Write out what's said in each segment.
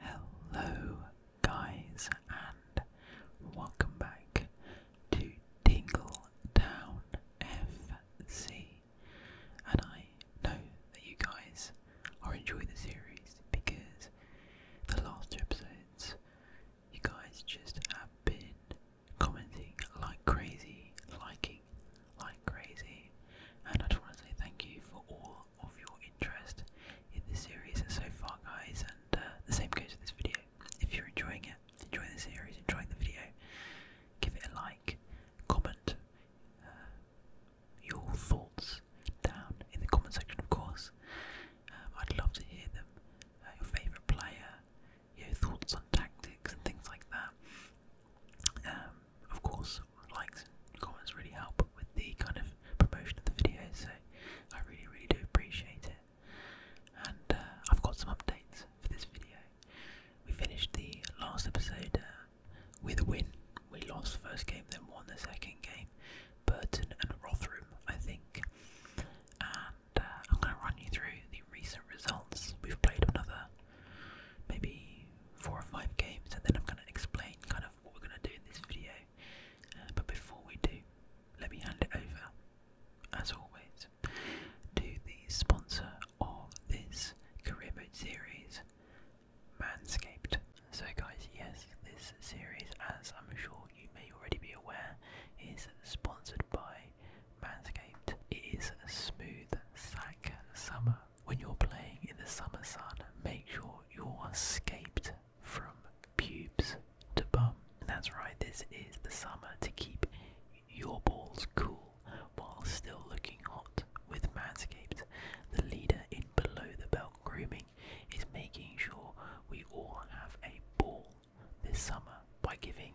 Hello, guys, and welcome back to Tingle Town FC. And I know that you guys are enjoying the series because the last two episodes, you guys just have been commenting like crazy, liking like crazy, and I just want to say thank you for all of your interest in this series so far guys and uh, the same goes for this video. If you're enjoying it, enjoying the series, enjoying the video, give it a like, comment uh, your thoughts down in the comment section of course. Um, I'd love to hear them, uh, your favourite player, your thoughts on tactics and things like that. Um, of course, likes comments really help with the kind of promotion of the video, so I really, really do appreciate it. And uh, I've got some updates for this video. We finished the last episode uh, with a win. We lost the first game, then won the second game. Burton and Rotherham, I think. And uh, I'm going to run you through the recent results. We've played another maybe four or five games, and then I'm going to explain kind of what we're going to do in this video uh, but before we do, let me hand it over, as always, to the sponsor of this career mode series, Manscaped. So, guys, yes, this series, as I'm sure you may already be aware, is sponsored by Manscaped. It is a smooth sack summer. When you're playing in the summer sun, make sure you're scaped from pubes to bum. that's right, this is the summer to keep your balls cool while still looking hot with Manscaped. The leader in below the belt grooming is making sure we all have a ball this summer by giving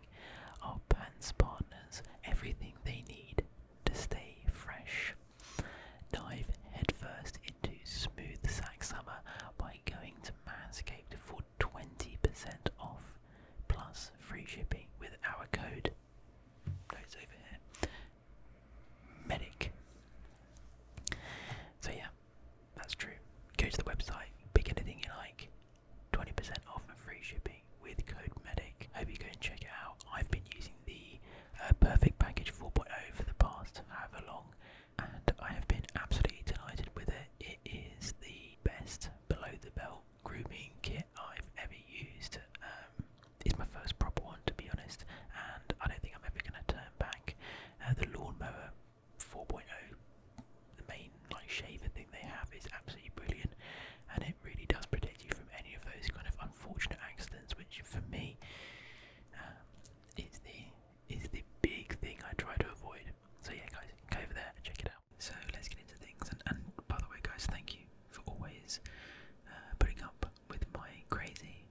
our pants partners everything they need to stay fresh. Dive headfirst into Smooth Sack Summer by going to Manscaped for 20% off plus free shipping with our code. No, over here. Medic. So yeah, that's true. Go to the website, pick anything you like. 20% off and free shipping with code MEDIC. Hope you go and check it out. I've been using the uh, Perfect Package 4.0 for the past however long, and I have been absolutely delighted with it. It is the best below the belt grooming kit I've ever used. Um, it's my first proper one, to be honest, and I don't think I'm ever going to turn back. Uh, the lawnmower 4.0, the main like shaver thing they have, is absolutely brilliant, and it really does protect you from any of those kind of unfortunate accidents, which for me uh, is the is the big thing I try to avoid. So yeah, guys, go over there and check it out. So let's get into things. And, by the way, guys, thank you for always uh, putting up with my crazy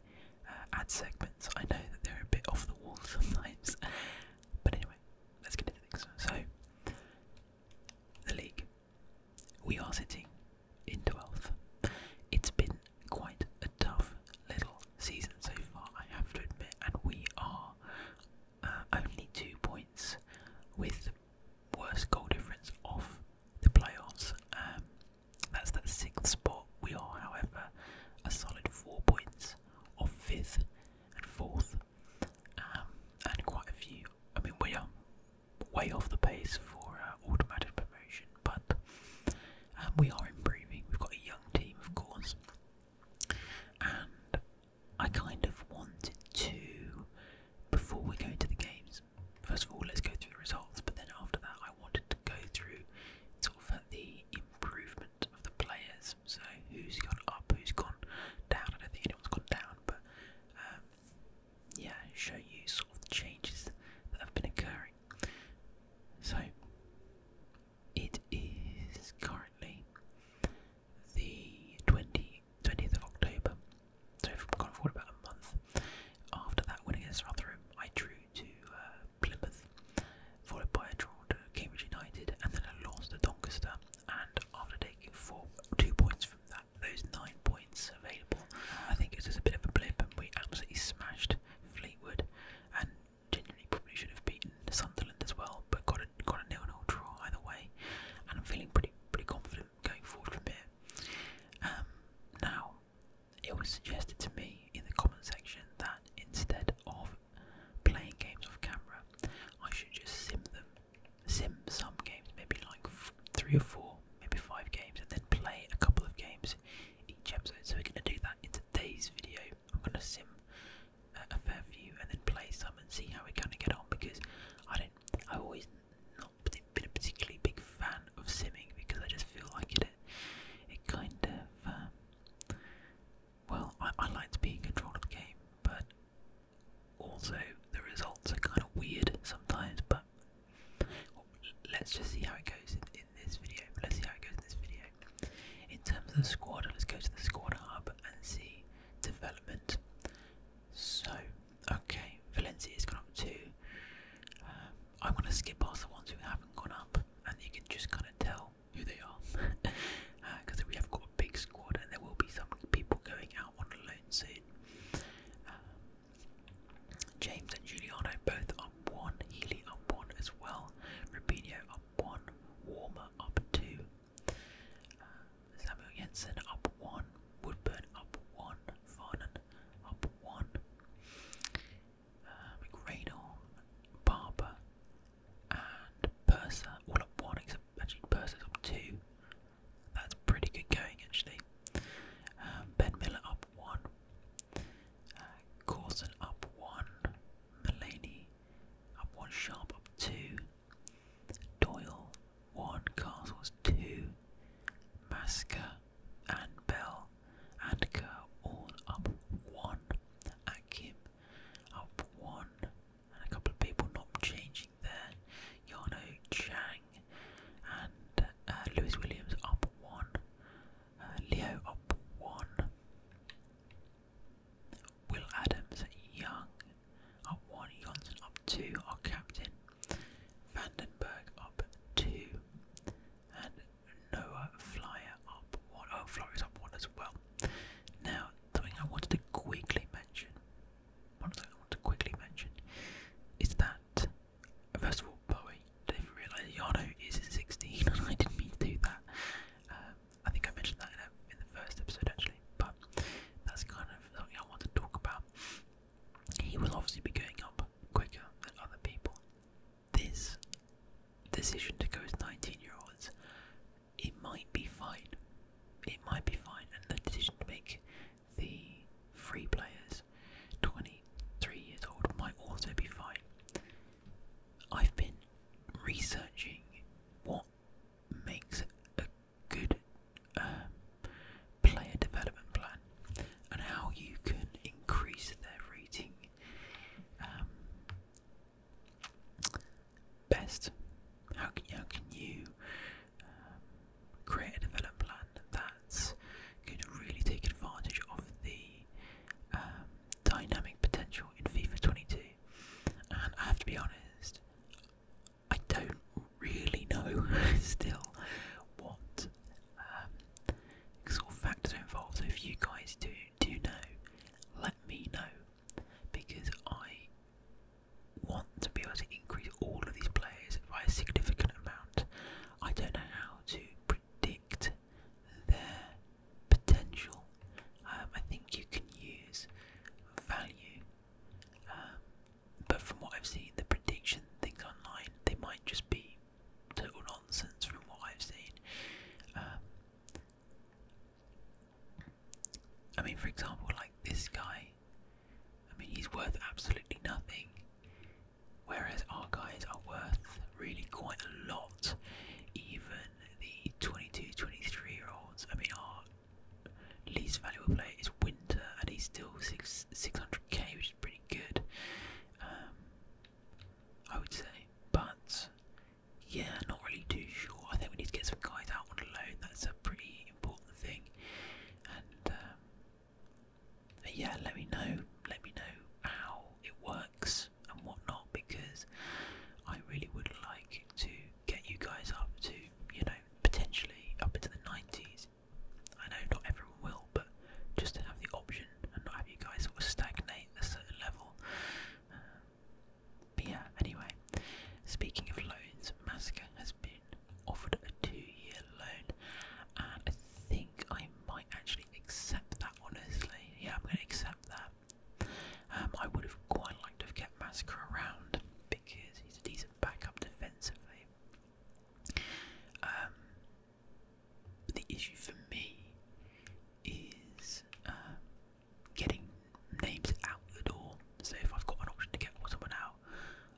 uh, ad segments. I know that they're a bit off the wall sometimes, but anyway, let's get into things. So the league, we are sitting in 12th. It's been quite a tough little season so far, I have to admit, and we are uh, only two points with the worst goal difference of the playoffs. Um, that's that sixth spot. We are, however, a solid four points off fifth and fourth, um, and quite a few. I mean, we are way off the pace for uh, automatic promotion, but and we are improving. We've got a young team, of course, and I kind of wanted to, before we go to the games, first of all, let's go through the results, but then after that, I wanted to go through sort of the improvement of the players. So, who's gone up, who's gone down. I don't think anyone's gone down, but um, yeah, show you sort of the changes that have been occurring. So it is currently the 20, 20th of October. So I've gone forward about a month. After that winning against Rotherham, I drew to uh, Plymouth, followed by a draw to Cambridge United, and then I lost to Doncaster. And after taking four, two points from that, those nine points available, I think it was just a bit of a blip, and we absolutely smashed Fleetwood, and generally probably should have beaten Sunderland as well, but got a got a nil nil draw either way, and I'm feeling pretty pretty confident going forward from here. Um, now, it was suggested to me in the comment section that instead of playing games off camera, I should just sim them, sim some games, maybe like three or four, maybe five games, and then play a couple of games each episode. So we're going to do that in today's video. I'm going to sim uh, a fair few and then play some and see how we kind of get on because I don't. I have always not been a particularly big fan of simming because I just feel like it. It kind of. Um, well, I, I like being controlled in of the game, but also the results are kind of weird sometimes. But Let's just see how it goes in, this video. Let's see how it goes in this video. In terms of the squad, let's go to the squad hub and see development. So, okay, Valencia's gone up too. Um, I'm going to skip past the ones who haven't gone up, and you can just kind of tell who they are. Because uh, we have got a big squad, and there will be some people going out on loan soon. Um, James and Giuliano both are one, Healy up one as well, Rubinho up one, Warmer up two, uh, Samuel Jensen up one, Woodburn up one, Farnan up one, uh, McRaynor, Barber, and Purser all up one, except actually Purser's up two. That's pretty good going actually. Uh, ben Miller up one, uh, up one. Mulaney up one. Sharp up two. Doyle one. Castles two. Masker and Bell and Kerr all up one. Akim up one. And a couple of people not changing there. Yano Chang and uh, Lewis Williams up one. Leo up one. Will Adams Young up one. Johnson up two. Our captain. Vandenberg up two. And Noah Flyer up one. Oh, Flyer's up one as well. Now, something I wanted to quickly mention. One thing I wanted to quickly mention is that First of all, Bowie, didn't realise Yano is 16, I didn't mean to do that. Um, I think I mentioned that in, the first episode actually, but that's kind of something I want to talk about. He will obviously be going up quicker than other people. This decision to go with 19 year olds, it might be fine. It might be fine, and the decision to make the free players 23 years old might also be fine. I've been researching what makes a good um, player development plan and how you can increase their rating um, best. How can, you um, create a development plan that's going to really take advantage of the dynamic potential in FIFA 22, and I have to be honest, I don't really know still what um, sort factors are involved. So if you guys do do know, let me know because I want to be able to increase all of these players by a significant amount. I don't know how to predict their potential. Um, I think you can use value, um, but from what I've seen, the prediction things online they might just be total nonsense. From what I've seen, um, I mean, for example, like this guy. I mean, he's worth absolutely nothing whereas our guys are worth really quite a lot. Even the 22, 23 year olds, I mean, our least valuable player is Winter, and he's still six, 600k, which is pretty good, um, I would say. But yeah, not really too sure. I think we need to get some guys out on loan, that's a pretty important thing. And um, yeah, let me know. Let me know how it works and whatnot because I really would like to get you guys up to, you know, potentially up into the 90s. I know not everyone will, but just to have the option and not have you guys sort of stagnate at a certain level. but yeah, anyway, speaking of loans, Masca has been offered a two year loan, and I think I might actually accept that honestly. Yeah, I'm going to accept that. Um, I would have quite liked to have kept Massacre around because he's a decent backup defensively. Um, but the issue for me is um, getting names out the door. So if I've got an option to get someone out,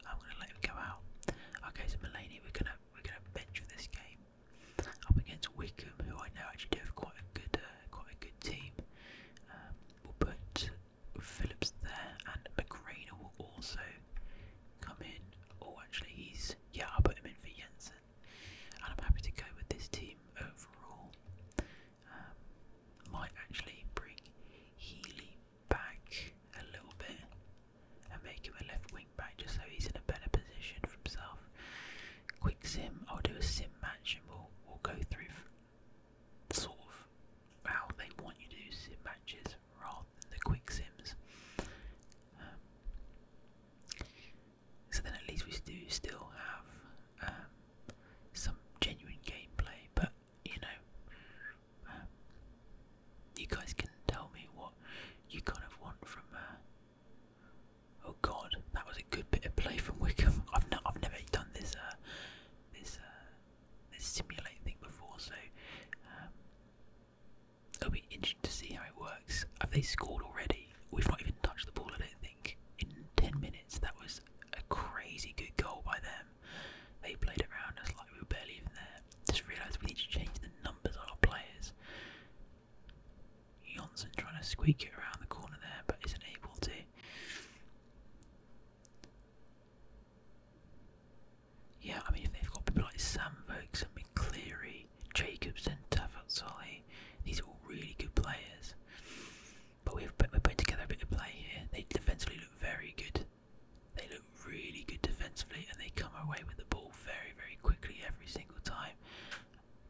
I'm going to let him go out. Okay, so Mulaney, we're going to we're going to bench for this game. Up against Wickham, who I know actually do have quite a good, uh, quite a good team. Um, we'll put Phillips there, and McGrainer will also come in. Or oh, actually, he's yeah, I'll put him in for Jensen. And I'm happy to go with this team overall. Um, might actually bring Healy back a little bit and make him a left wing just so he's in a better position for himself. Quick sim, I'll do a sim match and we'll we'll go through sort of how they want you to sim matches rather than the quick sims. Um, so then at least we do still have um, some genuine gameplay, but you know. Um, you guys can tell me what you kind of want from uh, Oh God, that was a good bit of play from Wickham. I've not, I've never done this, uh, this, uh, this simulate thing before, so um, i will be interesting to see how it works. Have they scored already? We've not even touched the ball, I don't think. In ten minutes, that was a crazy good goal by them. They played around us like we were barely even there. Just realised we need to change the numbers on our players. Johnson trying to squeak it around the corner there, but isn't able to. Yeah, I mean, if they've got people like Sam Vokes and McCleary, Jacobson, Tavazzoli, these are all really good players. But we've we're putting together a bit of play here. They defensively look very good. They look really good defensively, and they come away with the ball very, very quickly every single time.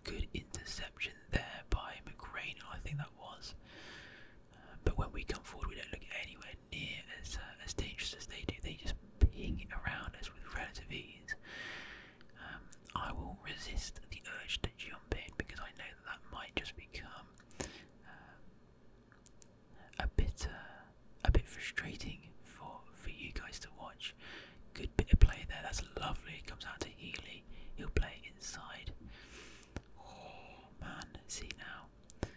Good interception there by McRae. I think that was. Uh, but when we come forward, we don't look anywhere near as uh, as dangerous as they do. They just ping around us with relative ease. Um, I will resist the urge to jump in because I know that might just become uh, a bit a bit frustrating for for you guys to watch. Good bit of play there. That's lovely. Comes out to Healy. He'll play inside. Oh man, see now.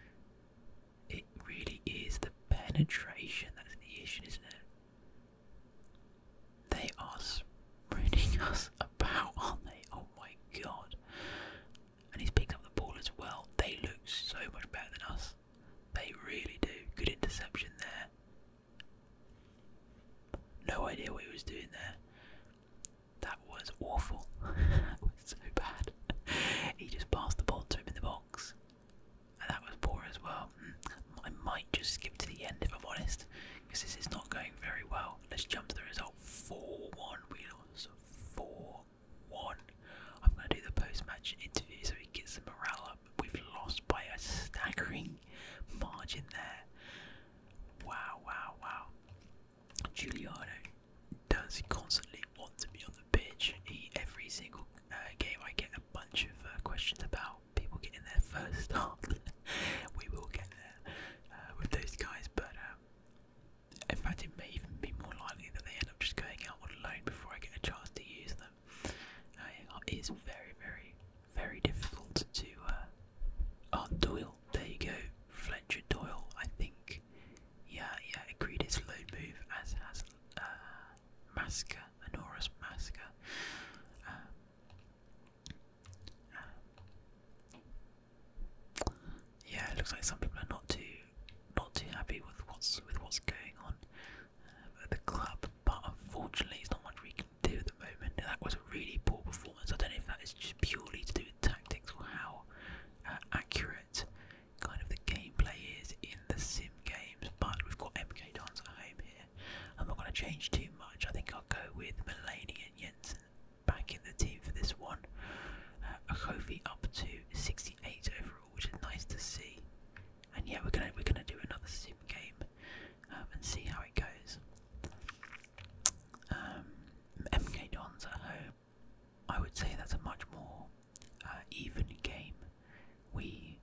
It really is the penetration that's the issue, isn't it? They are sprinting us about, aren't they? Oh my god. And he's picked up the ball as well. They look so much better than us. They really do. Good interception there. No idea what he was doing there. That was awful. that was so bad. he just passed the ball to him in the box. And that was poor as well. Hmm. I might just skip to the end if I'm honest, because this is not going very well. Let's jump to the result 4 1. We lost 4 1. I'm going to do the post match interview so he gets the morale We've lost by a staggering margin there. Wow, wow, wow. Giuliano does constantly want to be on the pitch. He, every single uh, game, I get a bunch of uh, questions about people getting their first start. we will get there uh, with those guys, but um, in fact, it may even be more likely that they end up just going out on loan before I get a chance to use them it is very, very, very difficult to. Uh, oh, Doyle, there you go. Fletcher Doyle, I think. Yeah, yeah, agreed it's low move, as has uh, Honoris Masker. Um, um, yeah, it looks like some people are not too, not too happy with what's with what's going on the club, but unfortunately, it's not much we can do at the moment. That was a really poor performance. I don't know if that is just purely to do with tactics or how uh, accurate kind of the gameplay is in the sim games, but we've got MK Dons at home here. I'm not going to change too much. I think I'll go with Mulaney and Jensen back in the team for this one. Uh, a Kofi up to 68 overall, which is nice to see and yeah, we're gonna we're gonna do another sim game um, and see how it goes. MK um, Dons at home. I would say that's a much more uh, even game. We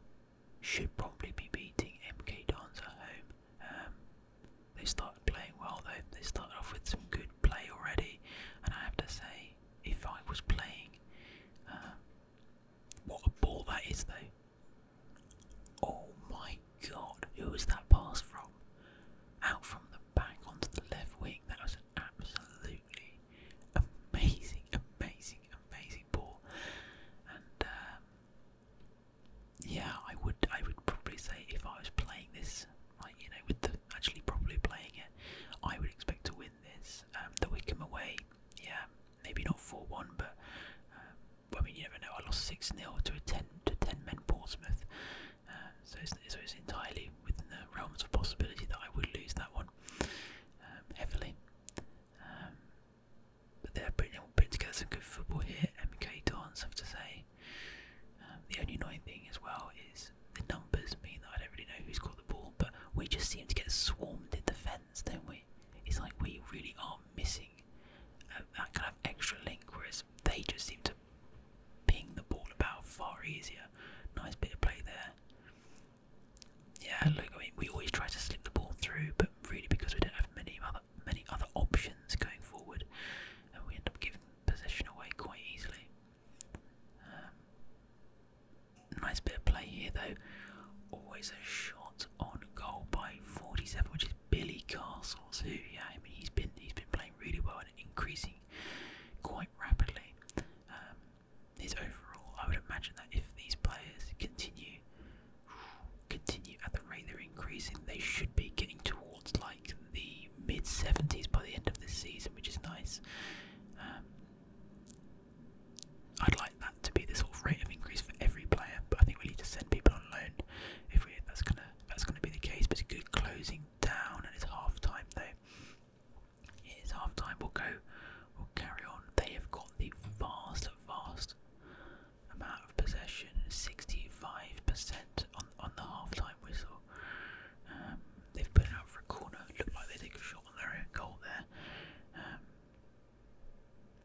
should probably be beating MK Dons at home. Um, they started playing well though. They started off with some good play already, and I have to say, if I was playing, uh, what a ball that is though. Oh my god, who was that pass from? Out from the back onto the left wing. That was an absolutely amazing, amazing, amazing ball. And um, yeah, I would, I would probably say if I was playing this, like you know, with actually probably playing it, I would expect to win this. Um, the Wickham away, yeah, maybe not 4 1, but uh, I mean, you never know. I lost 6 0 to a 10 to 10 men Portsmouth, uh, so, it's, entirely within the realms of possibility that I would lose that one um, heavily. Um, but they're putting, putting together some good football here. MK Dons, have to say. Um, the only annoying thing as well is the numbers mean that I don't really know who's got the ball, but we just seem to get swarmed in defence, don't we? It's like we really are missing that kind of extra link, whereas they just seem to ping the ball about far easier. Nice bit of play there. Yeah, look, I mean, we always try to slip the ball through, but really because we don't have many other many other options going forward, and we end up giving possession away quite easily. Um, nice bit of play here, though. Always a shot on goal by 47, which is Billy Castles, who yeah, I mean he's been he's been playing really well and increasing quite rapidly. Um, his overall, I would imagine that if these players continue continue at the rate they're increasing, they should be getting towards like the mid 70s by the end of this season, which is nice. Um, I'd like that to be the sort of rate of increase for every player, but I think we need to send people on loan if we that's gonna that's gonna be the case. But it's good closing down, and it's half time though. It is half time. We'll go. We'll carry on. They have got the vast, vast amount of possession. Sixty-five percent on on the half-time whistle. Um, they've put it out for a corner. Look like they take a shot on their own goal there. Um,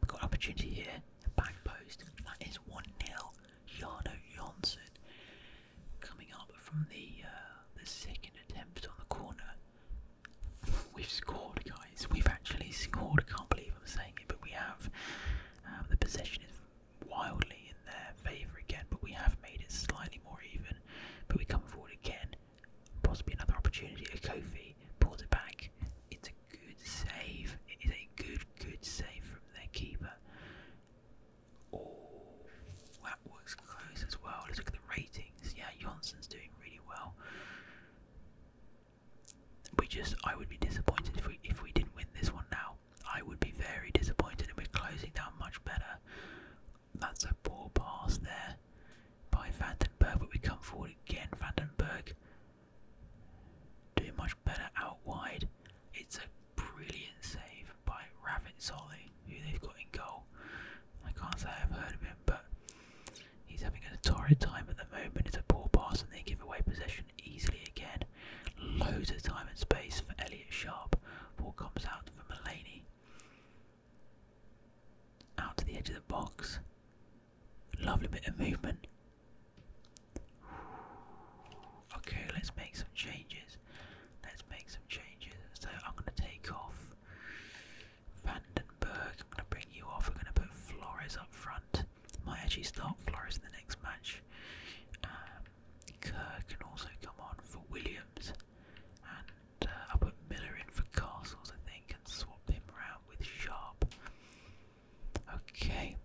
We've got an opportunity here. Back post. That is 1 0. Jarno Jonsson coming up from the uh, the second attempt on the corner. We've scored, guys. We've actually scored. I can't believe I'm saying it, but we have. Um, the possession is wildly in their favour again, but we have made it slightly more even. But we come forward again. Possibly another opportunity. A Kofi pulls it back. It's a good save. It is a good, good save from their keeper. Oh, that was close as well. Let's look at the ratings. Yeah, Johnson's doing really well. We just, I would be disappointed if we if we didn't win this one now. I would be very disappointed, and we're closing down much better. That's a poor pass there by Vandenberg, but we come forward again. Vandenberg do much better out wide. It's a brilliant save by Ravinsoli, who they've got in goal. I can't say I've heard of him, but he's having a torrid time at the moment. It's a poor pass, and they give away possession easily again. Loads of time and space for Elliot Sharp. Ball comes out for Mulaney. Out to the edge of the box. Lovely bit of movement. Okay, let's make some changes. Let's make some changes. So I'm going to take off Vandenberg. I'm going to bring you off. We're going to put Flores up front. Might actually start Flores in the next match. Um, Kerr can also come on for Williams. And uh, I'll put Miller in for Castles, I think, and swap him around with Sharp. Okay,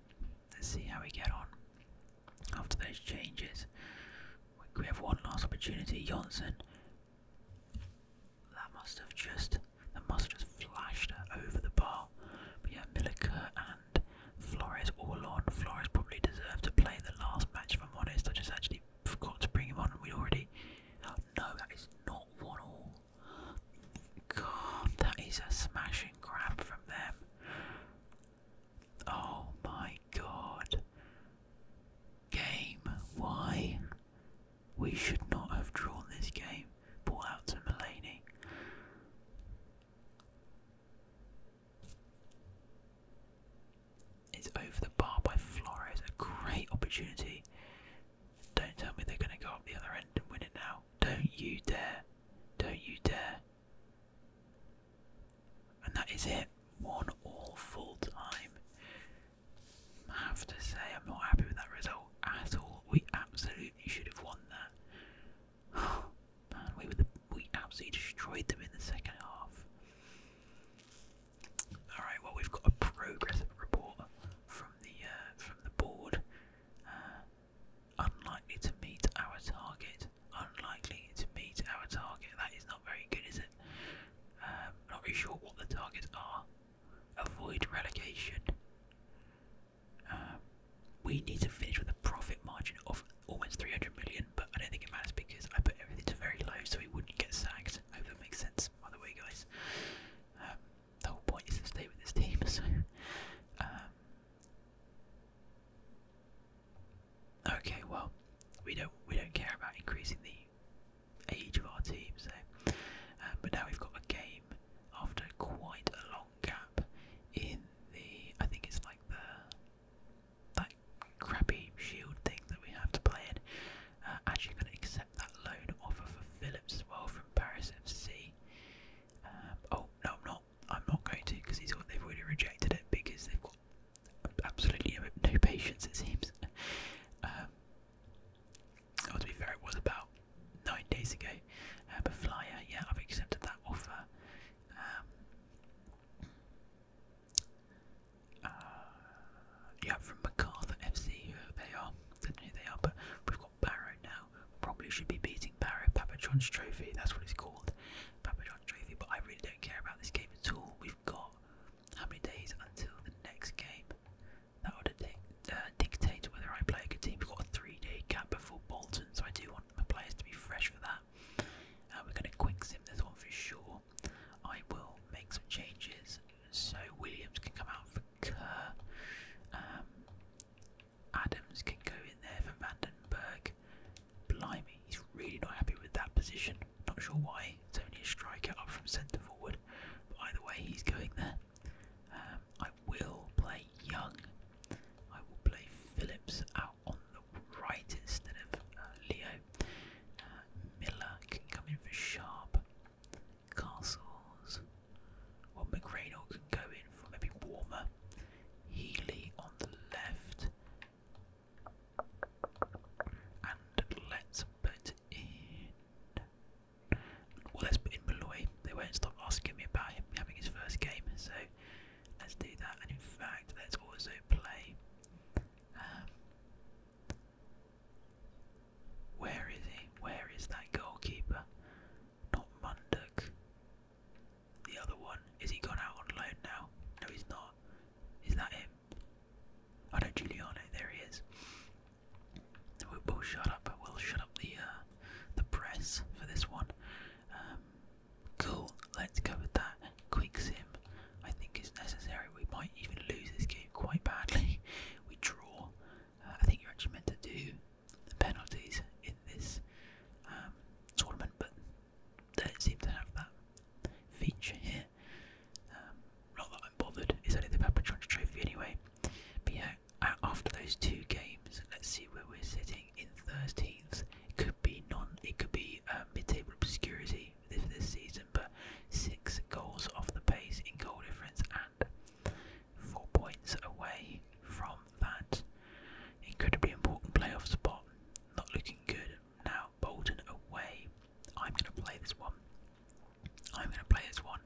let's see how we get on after those changes. We have one last opportunity. Johnson. That must have just that must just flashed over the bar. But yeah, Milica and Flores all on. Flores probably deserved to play the last match if I'm honest. I just actually forgot to bring him on we already no, that is not one all. God, that is a smashing grab from them. Oh my god. Game, why? We should not have drawn this game. Ball out to Mulaney. It's over the bar by Flores. A great opportunity. Don't tell me they're going to go up the other end and win it now. Don't you dare. Don't you dare. And that is it. One all full time. I have to say, I'm not happy with that result at all. We absolutely should have won that. man, we, were we absolutely destroyed them in the second half. Alright, well, we've got a progress report from the, uh, from the board. Uh, Unlikely to meet our target. Unlikely to meet our target. That is not very good, is it? Um, not really sure what the targets are. Avoid relegation. Um, we need to finish with a profit margin of almost 300 million, but I don't think it matters because I put everything to very low so we wouldn't get sacked. I hope that makes sense, by the way, guys. Um, the whole point is to stay with his team. So, um, okay, well, we don't we don't care about increasing the age of our team. So, um, but now we've got a game after quite a long gap in the I think it's like the that crappy shield thing that we have to play in. Uh, actually, going to accept that loan offer for Phillips as well from Paris FC. Um, oh no, I'm not. I'm not going to because he thought they've already rejected it because they've got absolutely no, patience. It seems. oh, to be fair, it was about nine days ago. Uh, um, but Flyer, yeah, I've accepted that offer. Um, uh, from MacArthur FC, who they are, do they are, but we've got Barrow now. Probably should be beating Barrow. Papa John's Trophy, that's what it's called. Papa John's Trophy, but I really don't care about this game at all. We've got how many days until the next game? That would uh, dictate whether I play a good team. We've got a three day gap before Bolton, so I do want the players to be fresh for that. Uh, we're going to quick sim this one for sure. I will make some changes so Williams can come out for Cur. Adams can go in there for Vandenberg. Blimey, he's really not happy with that position. Not sure why. It's only a striker up from centre forward. By the way, he's going there. Um, I will play Young. I will play Phillips out on the right instead of uh, Leo. Uh, Miller can come in for Sharp. Castles. Well, McReynolds can go in for maybe Warmer. Healy on the left. And let's put in. Well, let's put in Malloy. They won't stop asking me about him having his first game, so let's do that. And in fact, let's also play. Um, where is he? Where is that goalkeeper? Not Munduk. The other one. Is he gone out on loan now? No, he's not. Is that him? Oh no, Giuliano. There he is. We'll, shut up. We'll shut up the uh, the press for this one. Um, cool. Let's go with that. Quick sim. I think is necessary. We might even lose this game quite badly. We draw. Uh, I think you're actually meant to do penalties in this um, tournament, but they don't seem to have that feature here. Um, not that I'm bothered, it's only the Papatrons Trophy anyway. But yeah, after those two games, let's see where we're sitting in 13th. It could be non, it could be um, mid-table obscurity for this season, but six goals off the pace in goal difference and four points away from that incredibly important playoff spot. Not looking good. Now Bolton away. I'm going to play this one. I'm going to play this one.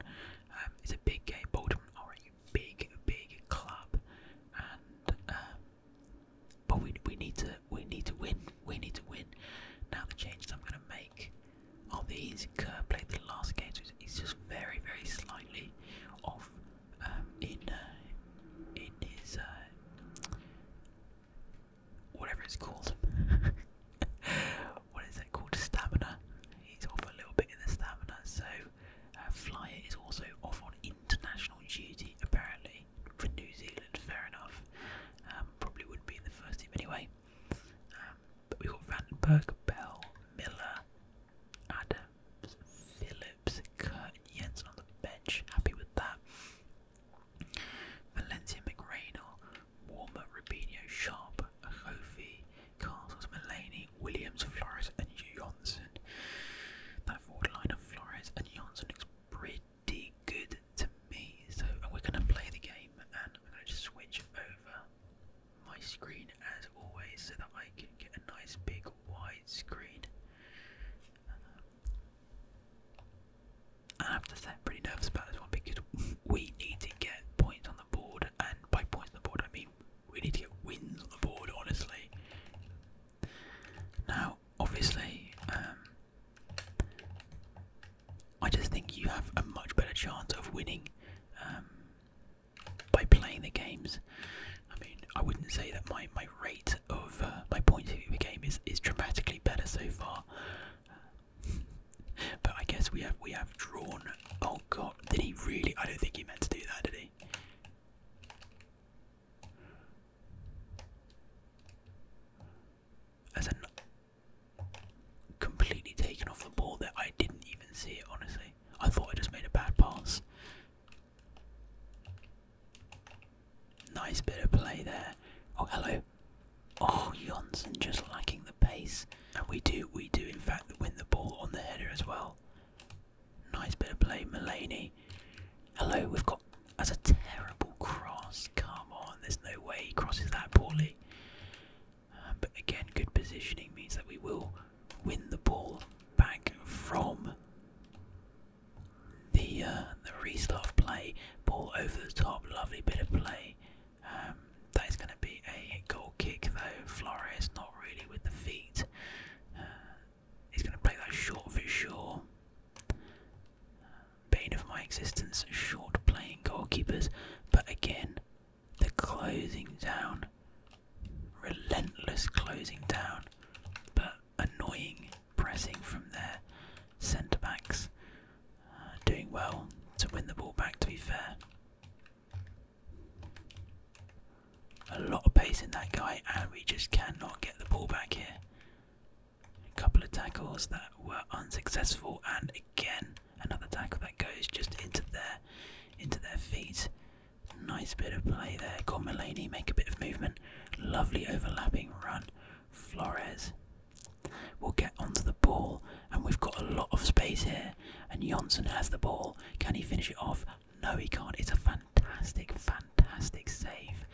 Um, it's a big game. Bolton are a big, big club, and um, but we we need to we need to win. We need to win. Now the changes I'm going to make on the easy curve. played the last game, so he's just very, very slightly off in in his whatever it's called. what is it called? Stamina. He's off a little bit in the stamina. So uh, Flyer is also off on international duty apparently for New Zealand. Fair enough. Um, probably wouldn't be in the first team anyway. Um, but we got Vandenberg, Bell, Miller, Adam, Phillips, Kurt and Jensen on the bench. Happy with that. Valencia McRaynor, Warmer, Rubinho, Sharp, Kofi, Castles, Mullaney, Williams, Flores, and Johnson. That forward line of Flores and Johnson looks pretty good to me. So we're going to play the game and we're going to just switch over my screen as always so that I can get a nice big wide screen. I have to say, pretty nervous about this one because we need to get points on the board, and by points on the board, I mean we need to get wins on the board, honestly. Now, obviously, um, I just think you have a much better chance of winning um, by playing the games. I mean, I wouldn't say that my my rate of uh, my point of view the game is is dramatically better so far. but I guess we have we have drawn. Oh God, did he really? I don't think he meant to do that, did he? As an completely taken off the ball there, I didn't even see it honestly. I thought I just made a bad pass. Nice bit of play there. Oh, hello. Oh, Johnson just lacking the pace. And we do, we do in fact win the ball on the header as well. Nice bit of play, Mulaney. Hello, we've got, as a terrible cross. Come on, there's no way he crosses that poorly. Uh, but again, good positioning means that we will win the ball back from the uh, the restart play. Ball over the top, lovely bit of play. Um, that is going to be a goal kick though. Flores not really with the feet. Uh, he's going to play that short for sure. Bane of my existence, short playing goalkeepers. But again, the closing down Relentless closing down, but annoying pressing from their centre backs. Uh, doing well to win the ball back, to be fair. A lot of pace in that guy, and we just cannot get the ball back here. A couple of tackles that were unsuccessful, and again another tackle that goes just into their into their feet. Nice bit of play there. Got Mulaney make a bit of movement. Lovely overlapping run. Flores will get onto the ball, and we've got a lot of space here. And Johnson has the ball. Can he finish it off? No, he can't. It's a fantastic, fantastic save.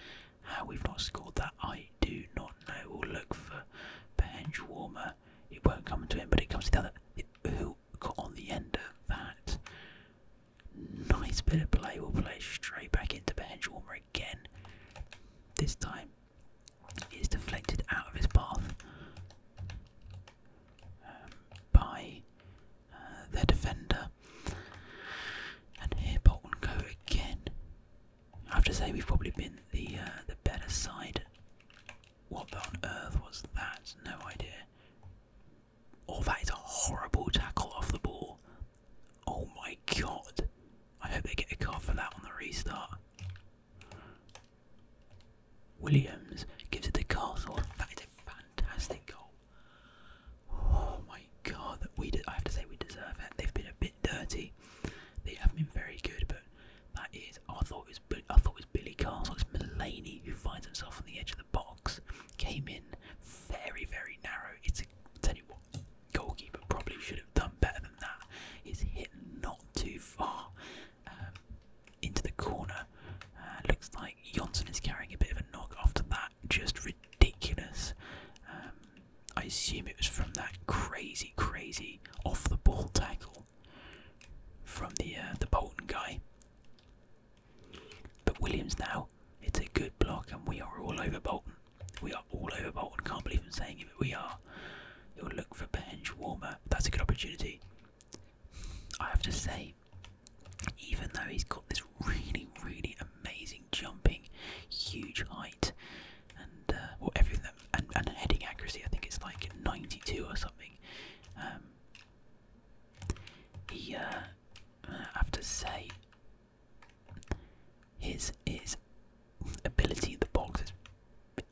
How we've not scored that, I do not know. We'll look for bench warmer. It won't come to him, but it comes to the other on the end of that. Nice bit of play. We'll play straight back into Benchwarmer again. This time it's deflected out of his path um, by uh, the defender. And here Bolton go again. I have to say we've probably been the uh, the better side. What on earth was that? No idea. Oh, that is a horrible tackle off the ball. Oh my god. I hope they get a card for that on the restart. Williams gives it to Castle. That is a fantastic goal. Oh my god, that we did I have to say we deserve it. They've been a bit dirty. They haven't been very good, but that is I thought it was I thought was Billy Castle, it's Mulaney who finds himself on the edge of the box, came in very, very narrow. It's a, goalkeeper probably should have done better than that. It's hit not too far um, into the corner. Uh, looks like Johnson is carrying a bit of a knock after that. Just ridiculous. Um, I assume it was from that crazy, crazy off the ball tackle from the uh, the Bolton guy. But Williams now, it's a good block, and we are all over Bolton. We are all over Bolton. Can't believe I'm saying it, but we are. He'll look for bench warmer. That's a good opportunity. I have to say, even though he's got this really, really amazing jumping, huge height, and uh, well, everything and, heading accuracy, I think it's like 92 or something. Um, he, uh, I have to say, his his ability in the box is,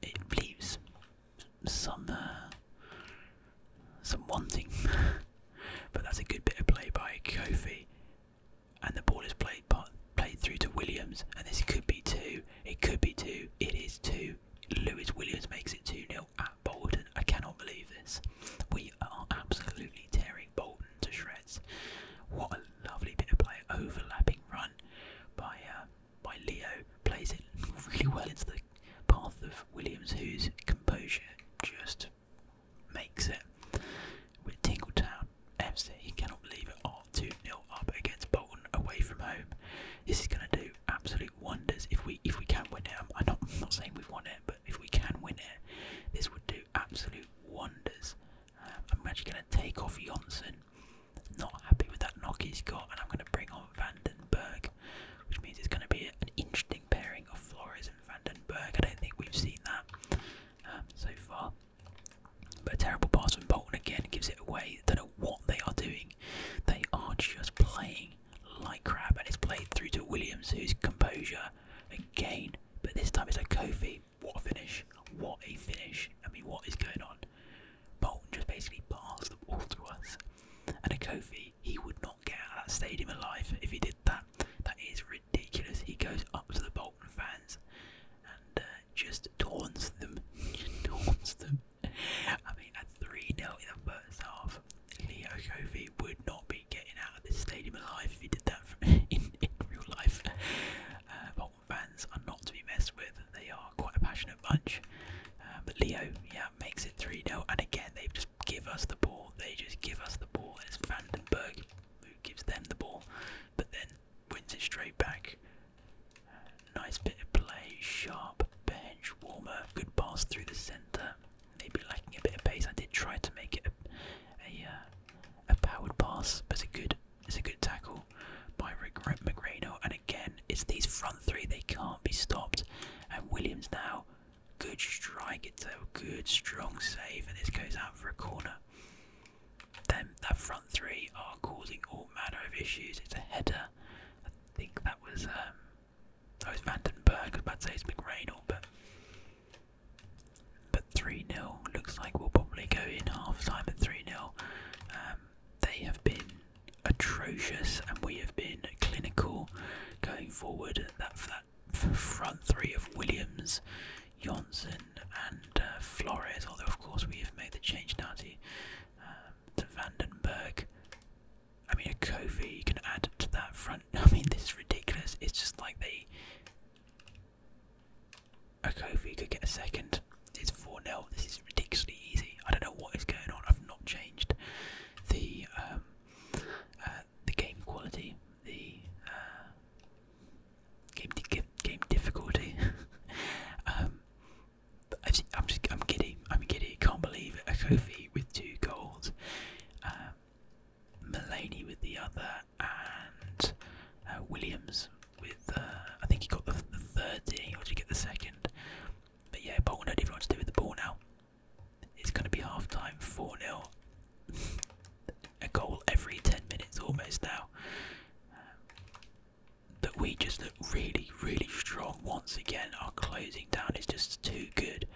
it leaves some uh, some wanting, but that's a good bit of play by Kofi, and the ball is played played through to Williams, and this could be two, it could be two, it is two. Lewis Williams makes it 2 0, Bolton. I cannot believe this. We are absolutely tearing Bolton to shreds. What a lovely bit of play, overlapping run by uh, by Leo. Plays it really well into the path of Williams, whose composure just makes it. With Tingletown FC, he cannot believe it. Are two nil up against Bolton away from home. This is going to do absolute wonders if we if we can win it. I'm not I'm not saying we've won it, if we can win it, this would do absolute wonders. Uh, I'm actually going to take off Jonsson. Not happy with that knock he's got, and I'm going to bring on Vandenberg, which means it's going to be an interesting pairing of Flores and Vandenberg. I don't think we've seen that um, so far. But a terrible pass from Bolton again gives it away. Don't know what they are doing. They are not just playing like crap and it's played through to Williams whose composure again but this time it's a Kofi what a finish what a finish I mean what is going on Bolton just basically passed the ball to us and a Kofi he would not get out of that stadium alive if he did that that is ridiculous he goes up to the Bolton fans and uh, just taunts them taunts them I mean at 3-0 in the first half Leo Kofi would not be getting out of this stadium alive if he did that in, in real life. Uh, fans are not to be messed with. They are quite a passionate bunch. Uh, but Leo, yeah, makes it 3-0. And again, they just give us the ball. They just give us the ball. It's Vandenberg who gives them the ball, but then wins it straight back. Uh, nice bit of play, sharp bench warmer, good pass through the centre maybe lacking a bit of pace. I did try to make it a a, uh, powered pass, but it's a good it's a good tackle by Rick McGreno. And again, it's these front three they can't be stopped. And Williams now, good strike. It's a good strong save, and this goes out for a corner. Then that front three are causing all manner of issues. It's a header. I think that was. Um, Oh, Vandenberg. I was about to say it's McRae, but. But 3 0 looks like we'll probably go in half time at 3 0. Um, they have been atrocious, and we have been clinical going forward. That, that front three of Williams, Johnson, and uh, Flores, although, of course, we have made the change now to, um, to Vandenberg. I mean, a Kofi you can add to that front. I mean, this is ridiculous. It's just like they. A Kofi could get a second. It's 4 0. This is ridiculously easy. I don't know what is going on. I've not changed the um, uh, the game quality, the uh, game game difficulty. Um, I'm just I'm giddy. I'm giddy. Can't believe A Kofi with two goals. Um, Mullaney with the other, and uh, Williams with. Uh, I think he got the, third, did he? Or did he get the second? But yeah, Bolton don't even to do with the ball now. It's going to be half time, 4 0. A goal every 10 minutes almost now. but we just look really, really strong once again. Our closing down is just too good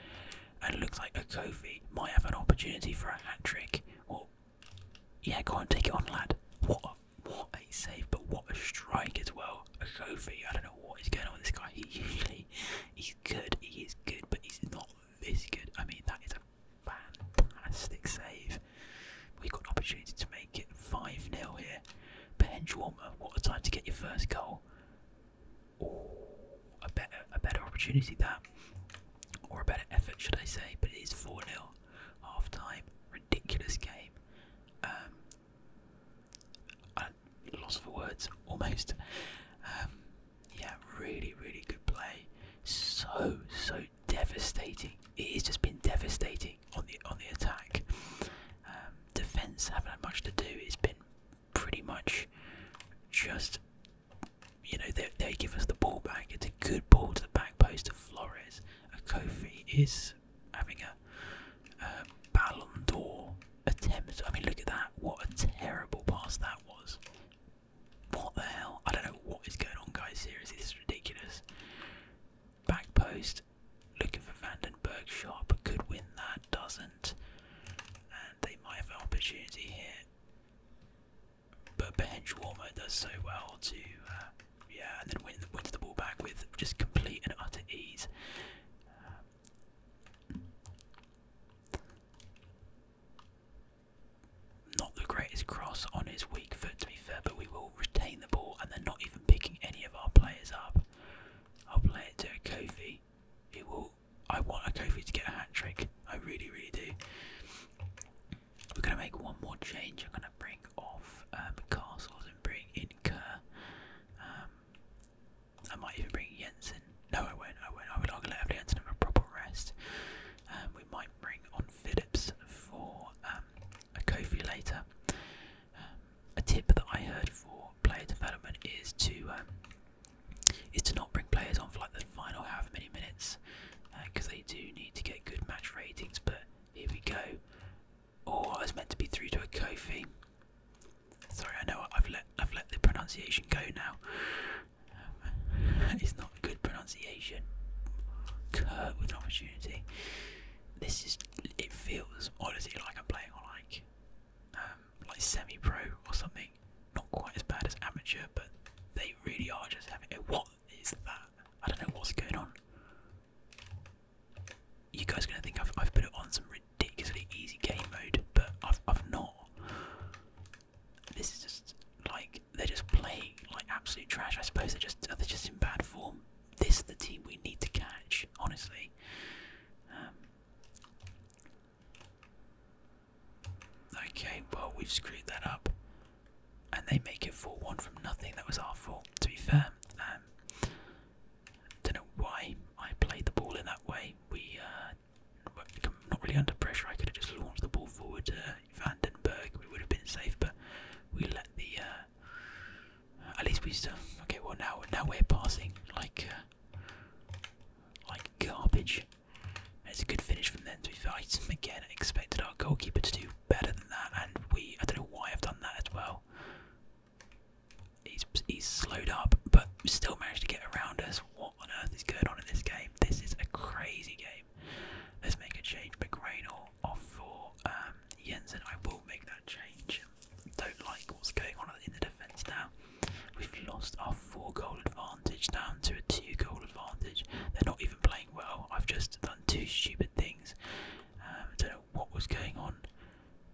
and looks like Okofi might have an opportunity for a hat trick. Well, yeah, go on, take it on, lad. What a, what a save, but what a strike as well. Okofi, I don't know what is going on with this guy. He usually he's good, he is good, but he's not this good. I mean, that is a fantastic save. We've got an opportunity to make it 5 0 here. Ben Warmer, what a time to get your first goal or a better a better opportunity that, or a better effort, should I say? But it is four 0 half time. Ridiculous game. Um, lost for words almost. Um, yeah, really, really good play. So, so devastating. It has just been devastating on the on the attack. Um, defense haven't had much to do. It's been pretty much just you know they, they give us the ball back. It's a good ball to the back post of Flores. Kofi is having a um, Ballon d'Or attempt. I mean, look at that! What a terrible pass that was. What the hell? I don't know what is going on, guys. Seriously, this is ridiculous. Back post, looking for Vandenberg. Shot could win that. Doesn't and they might have an opportunity here. But Behenchwarmer does so well to, uh, yeah, and then win, wins the ball back with just complete and utter ease. Um, not the greatest cross on his weak foot, to be fair, but we will retain the ball and they're not even picking any of our players up. I'll play it to Kofi, who will I want a Kofi to get a hat trick. I really, really do. We're gonna make one more change. I'm gonna bring off um, Castles and bring in Kerr. Um, I might even bring Jensen. No, I won't. I won't. I would like to let Jensen have a proper rest. Um, we might bring on Phillips for a Kofi later. a tip that I heard for player development is to is to not bring players on for like the final however many minutes because uh, they do need to get good match ratings. But here we go. Oh, I meant to be through to a Kofi. Sorry, I know I've let I've let the pronunciation go now. it's not good pronunciation. Kurt with an opportunity. This is it feels honestly like I'm playing on like um, like semi-pro or something not quite as bad as amateur, but they really are just having it. What is that? I don't know what's going on. You guys are gonna think I've, I've put it on some ridiculously easy game mode, but I've, I've not. This is just like they're just playing like absolute trash. I suppose they're just they're just in bad form. This is the team we need to catch, honestly. Um, Okay, well, we've screwed that up. And they make it 4 1 from nothing. That was our fault, to be fair. Um, don't know why I played the ball in that way. We uh, not really under pressure. I could have just launched the ball forward to uh, Vandenberg. We would have been safe, but we let the. Uh, at least we still. Okay, well, now, now we're passing like. Uh, like garbage. It's a good finish from them to be fair. I again expected our goalkeeper to do better than that and we I don't know why I've done that as well. He's he's slowed up but still managed to get around us. What on earth is going on in this game? This is a crazy game. Let's make a change. McGrainall off for um, Jensen. I will make that change. Don't like what's going on in the defence now. We've lost our four goal advantage down to a two goal advantage. They're not even playing well. I've just done two stupid things. I um, don't know what was going on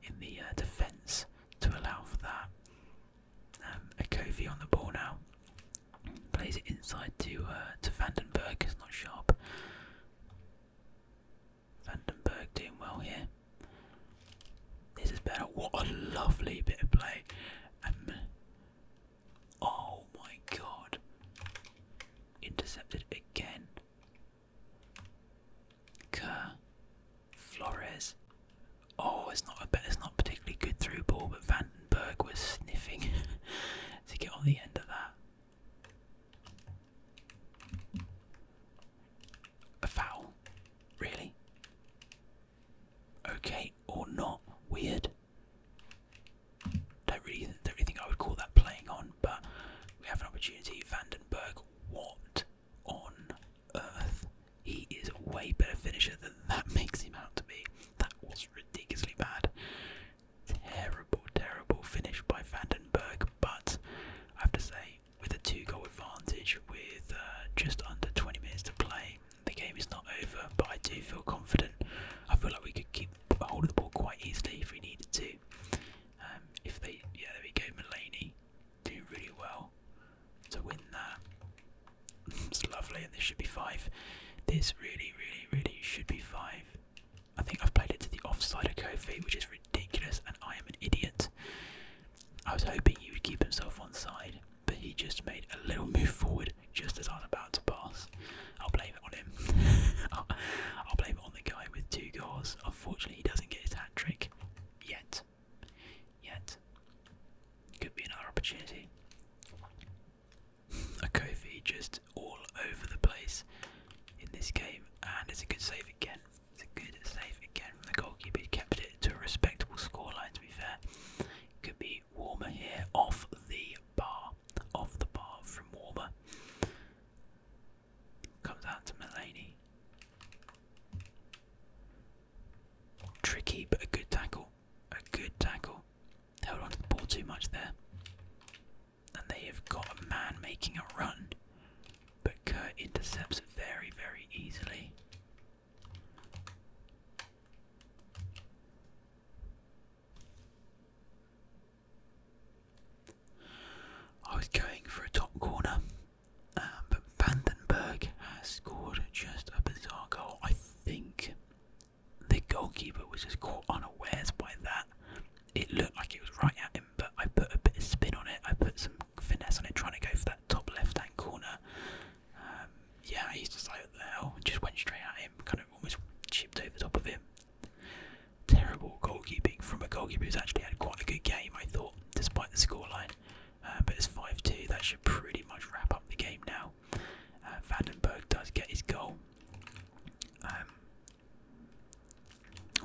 in the uh, defence to allow for that. Um, a Kofi on the ball now. Plays it inside to uh, to Vandenberg. It's not sharp. Vandenberg doing well here. This is better. What a lovely bit of play. Um, oh my god. Intercepted again. Flores. Oh, it's not a bet. It's not particularly good through ball, but Vandenberg was sniffing to get on the end of that. A foul? Really? Okay or not? Weird. Don't really, don't really think I would call that playing on, but we have an opportunity. Vandenberg, what on earth? He is a way better finisher than that makes him out to be. That was ridiculously bad. Terrible, terrible finish by Vandenberg, but I have to say, with a two goal advantage with uh, just under 20 minutes to play, the game is not over, but I do feel confident. I feel like we could keep hold of the ball quite easily if we needed to. Um, if they, yeah, there we go. Mulaney doing really well to win that. it's lovely, and this should be five. This really, really, really should be five. I think I've played it to the offside of Kofi, which is ridiculous, and I am an idiot. I was hoping he would keep himself on side, but he just made a little move forward just as I was about to pass. I'll blame it on him. I'll, blame it on the guy with two goals. Unfortunately, he doesn't get his hat trick yet. Yet. Could be another opportunity. A Kofi just all over the place in this game, and it's a good save again. It's a good save again from the goalkeeper. He kept to a respectable scoreline, to be fair. It could be warmer here off the bar, off the bar from warmer. Comes out to Mulaney. Tricky, but a good tackle. A good tackle. Held onto the ball too much there. And they have got a man making a run. But Kurt intercepts very, very easily. I was going for a top corner, um, but Vandenberg has scored just a bizarre goal. I think the goalkeeper was just caught unawares by that. It looked like it was right at him, but I put a bit of spin on it. I put some finesse on it, trying to go for that top left-hand corner, um, yeah, I used to say what the hell, just went straight at him, kind of almost chipped over the top of him. Terrible goalkeeping from a goalkeeper who's actually had quite a good game, I thought, despite the scoreline. Uh, but it's 5 2, that should pretty much wrap up the game now. Uh, does get his goal. Um,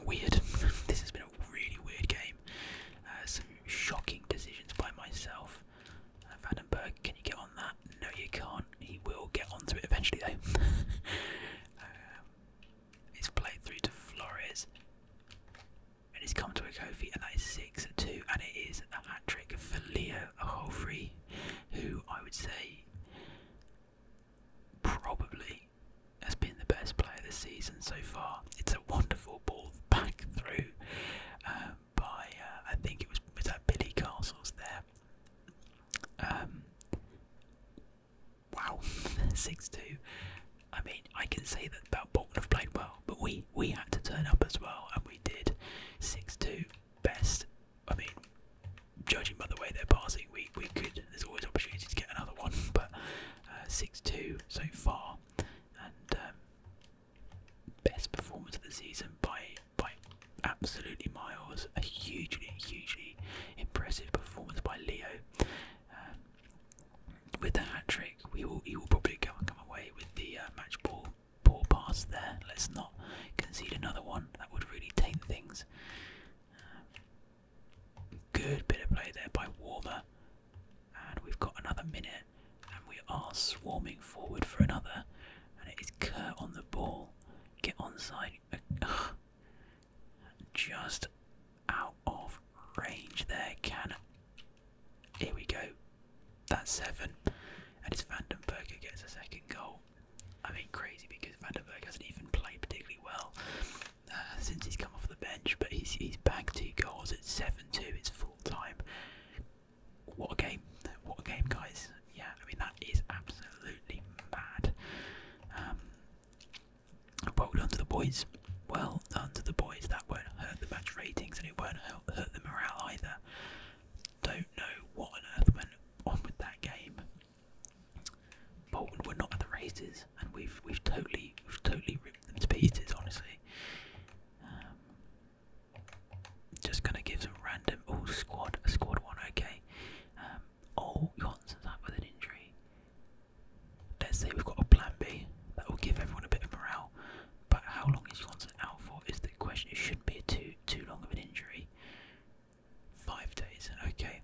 weird. this has been a really weird game. Uh, some shocking decisions by myself. Vandenberg, can you get on that? No, you can't. He will get onto it eventually, though. Um, it's played through to Flores, and it's come to a Kofi, and that is six two, and it is a hat trick for Leo Holfrey, who I would say probably has been the best player this season so far. It's a wonderful ball back through. Um, by uh, I think it was was that Billy Castles there. Um, wow, six two. I mean, I can say that about Bolton have played well, but we we had to turn up as well, and we did. Six two, best. I mean, judging by the way they're passing, we we could. There's always opportunity to get another one, but uh, six two so far, um, best performance of the season by by absolutely miles. A hugely, hugely impressive performance by Leo. Um, with the hat trick, we will he will probably go and come away with the uh, match ball poor pass there. Let's not concede another one. That would really taint things. Um, good bit of play there by Warmer and we've got another minute, and we are swarming forward for another. And it is Kurt on the ball. Get onside. Uh, just out of range there. Can. Here we go. That's seven. And it's Vandenberger gets a second goal. I mean, crazy because Vandenberg hasn't even played particularly well uh, since he's come off the bench, but he's, he's bagged two goals. It's 7 2, it's full time what a game! What a game, guys! Yeah, I mean that is absolutely mad. Um, well done to the boys. Well done to the boys. That won't hurt the match ratings, and it won't hurt the morale either. Don't know what on earth went on with that game. Bolton were not at the races, and we've we've totally we've totally ripped them to pieces. Honestly, um, just gonna give some random. Oh, squad, squad one, okay. Um, oh, Johnson's out with an injury. Let's say we've got a plan B that will give everyone a bit of morale. But how long is Johnson out for? Is the question. It shouldn't be too too long of an injury. Five days, okay.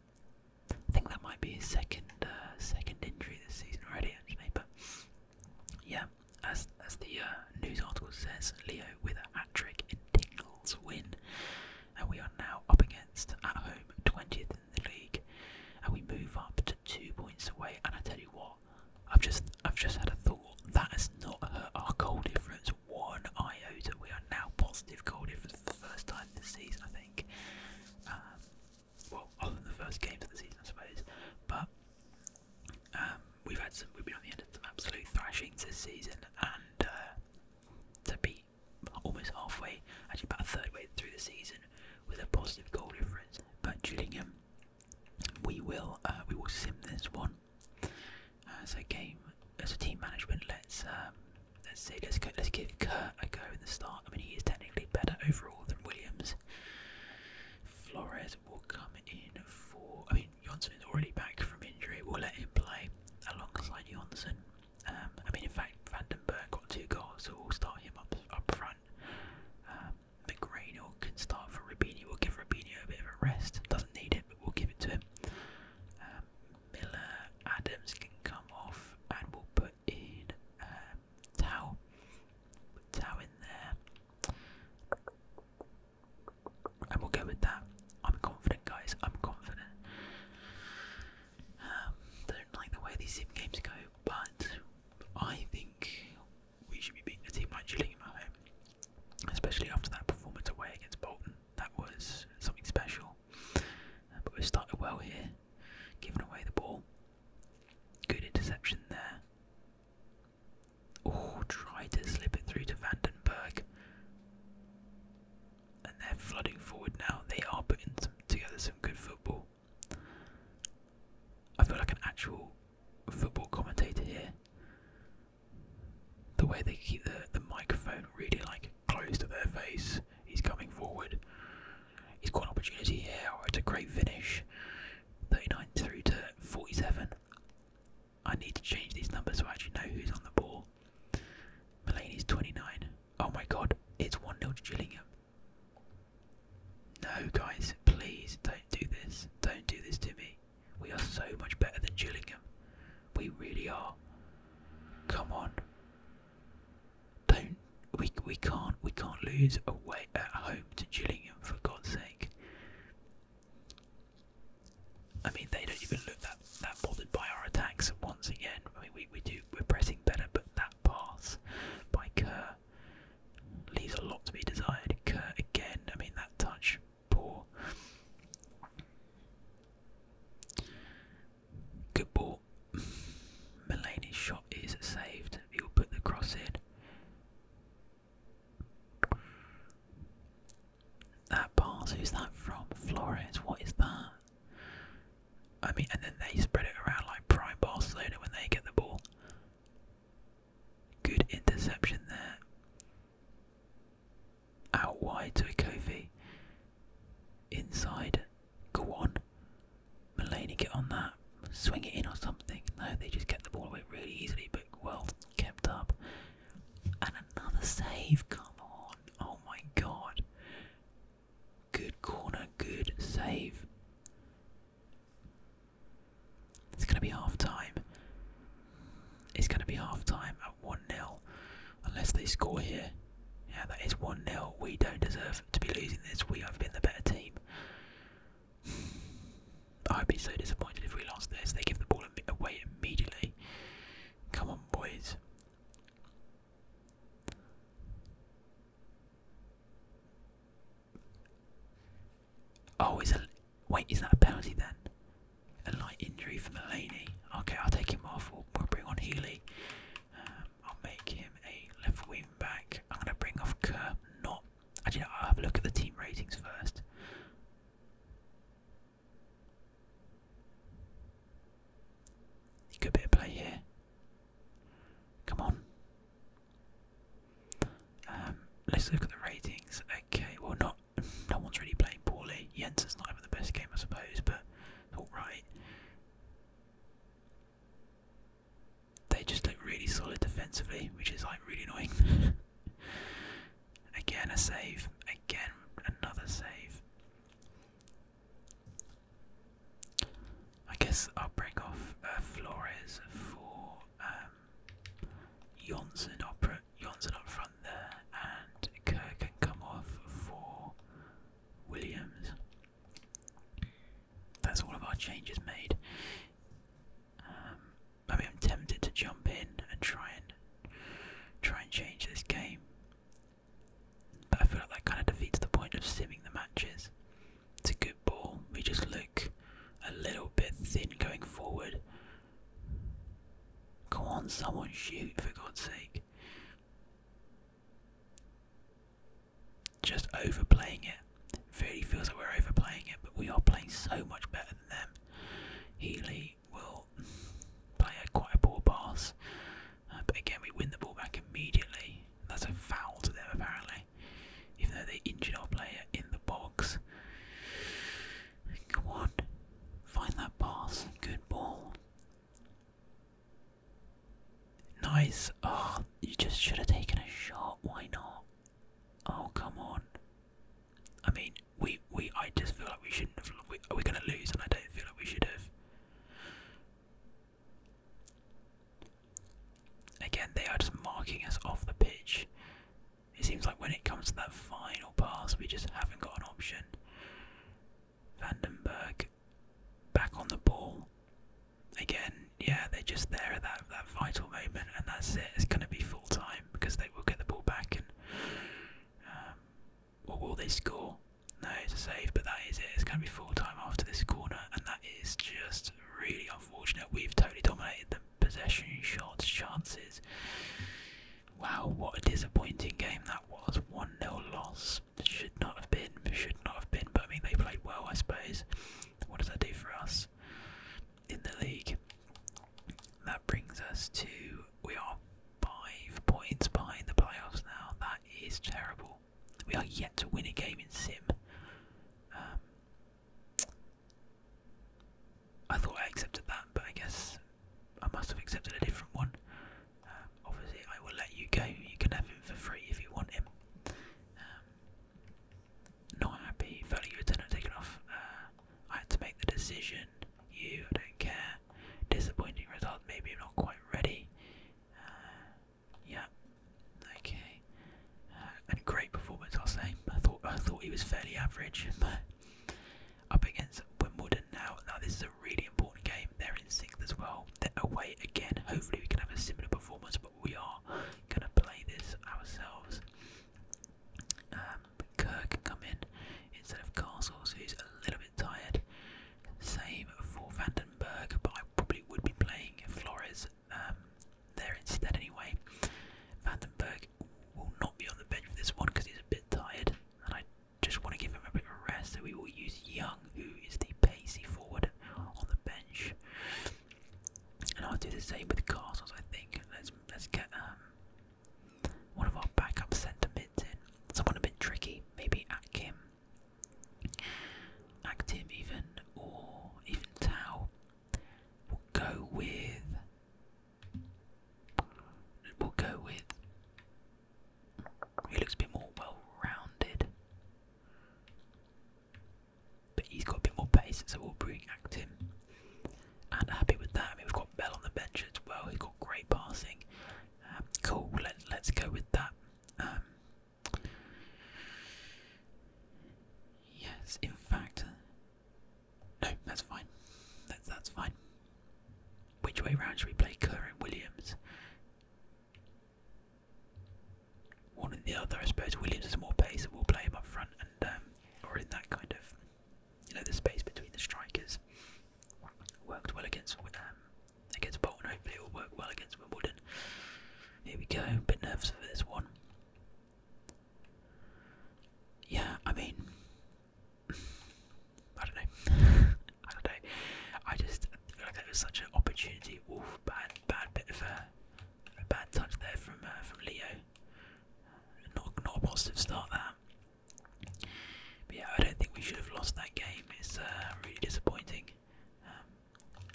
I think that might be his second uh, second injury this season already, actually. But yeah, as as the uh, news article says, Leo with a hat trick in Tingles win, and we are now up against at home twentieth in the league, and we move up to two points away. And I tell you what, I've just I've just had a thought that has not hurt our goal difference one iota. We are now positive goal difference for the first time this season, I think. Um, well, other than the first games of the season, I suppose, but um, we've had some, we've been on the end of some absolute thrashings this season, and uh, to be almost halfway, actually about a third way through the season, with a positive goal difference. But Gillingham, we will, uh, we will sim this one. as a game, as a team management, let's um, let's see, let's let's give Kurt a go in the start. I mean, he is technically better overall than Williams. Flores Lacazette will come in for. I mean, Johnson is already back from injury. We'll let him play alongside Johnson. Um, I mean, in fact, Vandenberg got two goals, so we'll start him up up front. Um, McGrainell can start for Rabini. We'll give Rabini a bit of a rest. Doesn't need it, but we'll give it to him. Um, Miller Adams can come off, and we'll put in Tao. Um, Tao in there. I we'll go with that. I'm confident, guys. I'm confident. Um, don't like the way these sim games go, but I think we should be beating the team like Gillingham at home, especially after that performance away against Bolton. That was something special. Uh, but we started well here, giving away the ball. Good interception there. Oh, try to slip it through to Vandenberg. And they're flooding forward now. They are putting together some good football. I feel like an actual football commentator here. The way they keep the, the microphone really like close to their face. He's coming forward. He's got an opportunity here. Oh, it's a great finish. 39 through to 47. I need to change these numbers so I actually know who's on the ball. Mulaney's 29. Oh my god, it's 1-0 to Gillingham. No guys, please don't do this. Don't do this to me. We are so much better than Gillingham. We really are. Come on. Don't we we can't we can't lose away at home to Gillingham for God's sake. I mean, they don't even look that that bothered by our attacks. Once again, I mean, we we do we're pressing better, but that pass by Kerr leaves a lot to be desired. Kerr again. I mean, that touch, poor. Good ball. Mulaney's shot is saved. He will put the cross in. That pass, who's that from? Flores, what is that? I mean, and then they spread it around like prime Barcelona when they get the ball. Good interception there. Out wide to a Kofi. Inside. Go on. Mulaney get on that. Swing it in or something. No, they just get the ball away really easily, but well kept up. And another save, come on. Oh my god. Good corner, good save. It's going to be half time. It's going to be half time at 1 0. Unless they score here. Yeah, that is 1 0. We don't deserve to be losing this. We have been the better team. I'd be so disappointed if we lost this. They give the ball away immediately. Come on, boys. Oh, is a wait? Is that a penalty then? A light injury for Mulaney. Okay, I'll take him off. We'll, bring on Healy. Um, I'll make him a left wing back. I'm gonna bring off Kerr, not Actually, I'll have a look at the team ratings first. Good bit of play here. Come on. Um, let's look at the ratings. Okay, well, not no one's really playing poorly. Jensen's not having the best game, I suppose, but all right. They just look really solid defensively, which is like really annoying. Again, a save. Again, another save. I guess I'll bring off uh, Flores for um, Johnson, up, up front there, and Kerr can come off for Williams. That's all of our changes made. Um, I I'm tempted to jump in and try and try and change this game, but I feel like that kind of defeats the point of simming the matches. It's a good ball. We just look a little bit thin going forward. Come on, someone shoot for God's sake. Just overplaying it. Furdy feels like we're overplaying it, but we are playing so much better than them. Healy will play a quite poor pass, uh, but again we win the ball back immediately. That's a foul to them apparently, even though they injured our player in the box. Come on, find that pass. Good ball. Nice. Oh, you just should have taken a shot. Why not? Oh, come on. I mean, we we I just feel like we shouldn't have. We, are we going to lose? And I don't feel like we should have. Again, they are just marking us off the pitch. It seems like when it comes to that final pass, we just haven't got an option. Vandenberg back on the ball. Again, yeah, they're just there at that, that vital moment, and that's it. It's going to be full time because they we'll get the ball back and um, will they score? No, it's a save, but that is it. It's going to be full time after this corner, and that is just really unfortunate. We've totally dominated the possession, shots, chances. Wow, what a disappointing game that was. 1 nil loss. Should not have been, should not have been, but I mean, they played well, I suppose. What does that do for us? in the league. That brings us to we are five points behind the playoffs now. That is terrible. We are yet to win a game in Sim. Um, I thought I accepted that, but I guess I must have accepted a different one. Um, obviously, I will let you go. You can have him for free if you want him. Um, not happy, felt like you taken off. Uh, I had to make the decision. You, I don't care. Disappointing result. Maybe I'm not quite ready. Uh, yeah. Okay. Uh, and great performance, I'll say. I thought I thought he was fairly average, but up against Wimbledon now. Now this is a really important game. They're in sixth as well. They're away again. Hopefully we can have a similar performance, but we are gonna play this ourselves. Um, Kerr can come in instead of Castles, who's a little bit tired. Same for Vandenberg, but I probably would be playing Flores um, there instead anyway. Vandenberg will not be on the bench for this one because he's a bit tired, and I just want to give him a bit of rest. So we will use Young, who is the pacey forward on the bench, and I'll do the same with Castles. I think. Let's let's get um, one of our backup centre mids in. Someone a bit tricky, maybe Akim, Actim even, or even Tau. We'll go with. We'll go with. He looks a bit more well rounded. But he's got a bit more pace, so we'll bring Actim and happy with that. I mean, we've got Bell on the bench as well. He's got great passing. Um, cool. Let, let's go with that. Um, yes, in fact, no, that's fine. That's that's fine. Which way round should we play Kerr and Williams? One and the other, I suppose. Williams is more pace, so we'll play him up front, and um, or in that kind of you know the space between the strikers worked well against um, against Bolton. Hopefully, it will work well against Wimbledon. Here we go. A bit nervous for this one. Yeah, I mean, I don't know. I don't know. I just feel like that was such an opportunity. Oof, bad, bad bit of a, bad touch there from uh, from Leo. Not not a positive start that. But yeah, I don't think we should have lost that game. It's uh, really disappointing. Um,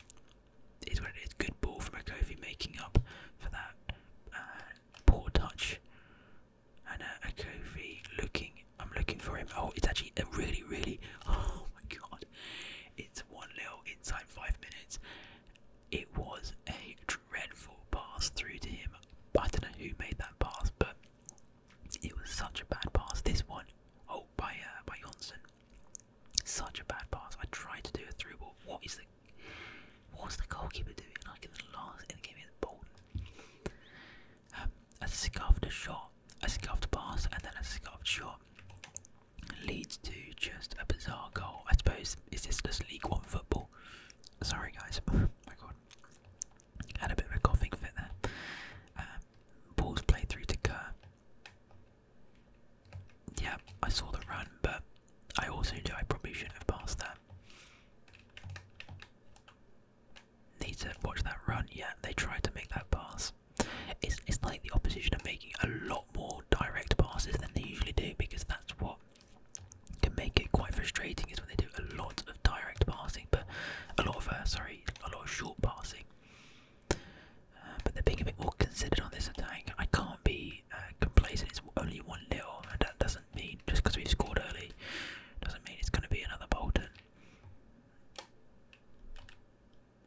it's what it is. Good ball from Okofi making up for that uh, poor touch. And uh, looking. I'm looking for him. Oh, it's actually a really, really. Oh my god! It's one little inside five minutes, it was a dreadful pass through to him. I don't know who made that pass, but it was such a bad pass. This one, oh, by uh, by Johnson, such a bad pass. I tried to do a through ball. What is the what's the goalkeeper doing? Like in the last in the game against Bolton, um, a scuffed shot, a scuffed pass, and then a scuffed shot leads to just a bizarre goal. I suppose it's this just League One football? Sorry, guys. Oh my god. Had a bit of a coughing fit there. balls um, played through to Kerr. Yeah, I saw the run, but I also knew I probably shouldn't have passed that. Need to watch that run. Yeah, they tried to make that pass. It's it's like the opposition are making a lot more direct passes than they usually do because that's what can make it quite frustrating is when they do a lot of direct passing, but a lot of uh, sorry, a lot of short passing. Uh, but they're being a bit more considered on this attack. I can't be uh, complacent. It's only one nil, and that doesn't mean just because we've scored early doesn't mean it's going to be another Bolton.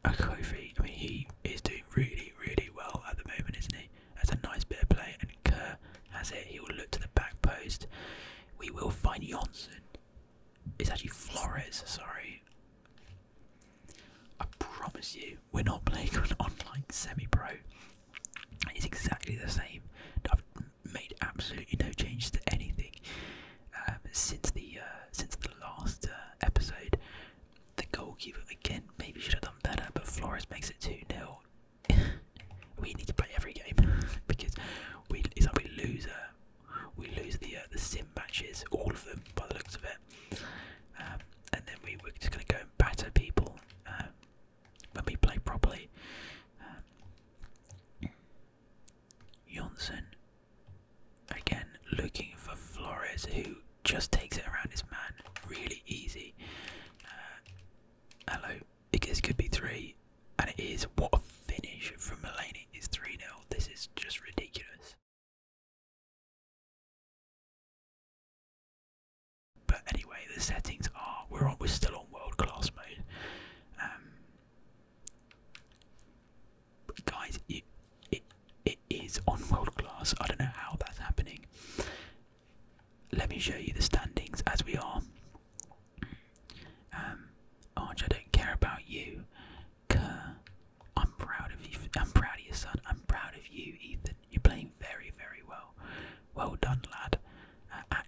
Kofi, I mean, he is doing really, really well at the moment, isn't he? play. That's a nice bit of play, and Kerr has it. He will look to the back post. We will find Jonsson. It's actually Flores, sorry. I promise you, we're not playing an online semi pro. It's exactly the same. I've made absolutely no changes to anything um, since the uh, since the last uh, episode. The goalkeeper again maybe should have done better, but Flores makes it 2 0. we need to play every game because we it's like we lose uh, we lose the uh, the sim matches, all of them by the looks of it, um, and then we were just gonna go and batter people um, when we play properly. Um, Johnson again looking for Flores, who just takes it around his man really easy. Uh, hello, it, could be three, and it is. What a finish from Mulaney! It's 3 0. This is just ridiculous. But anyway, the settings are we're on, we're still on world class mode. Um, guys, it, it it is on world class. I don't know how that's happening let me show you the standings as we are. Um, I don't care about you. Kerr, I'm proud of you. I'm proud of your son. I'm proud of you, Ethan. You're playing very, very well. Well done, lad. Uh,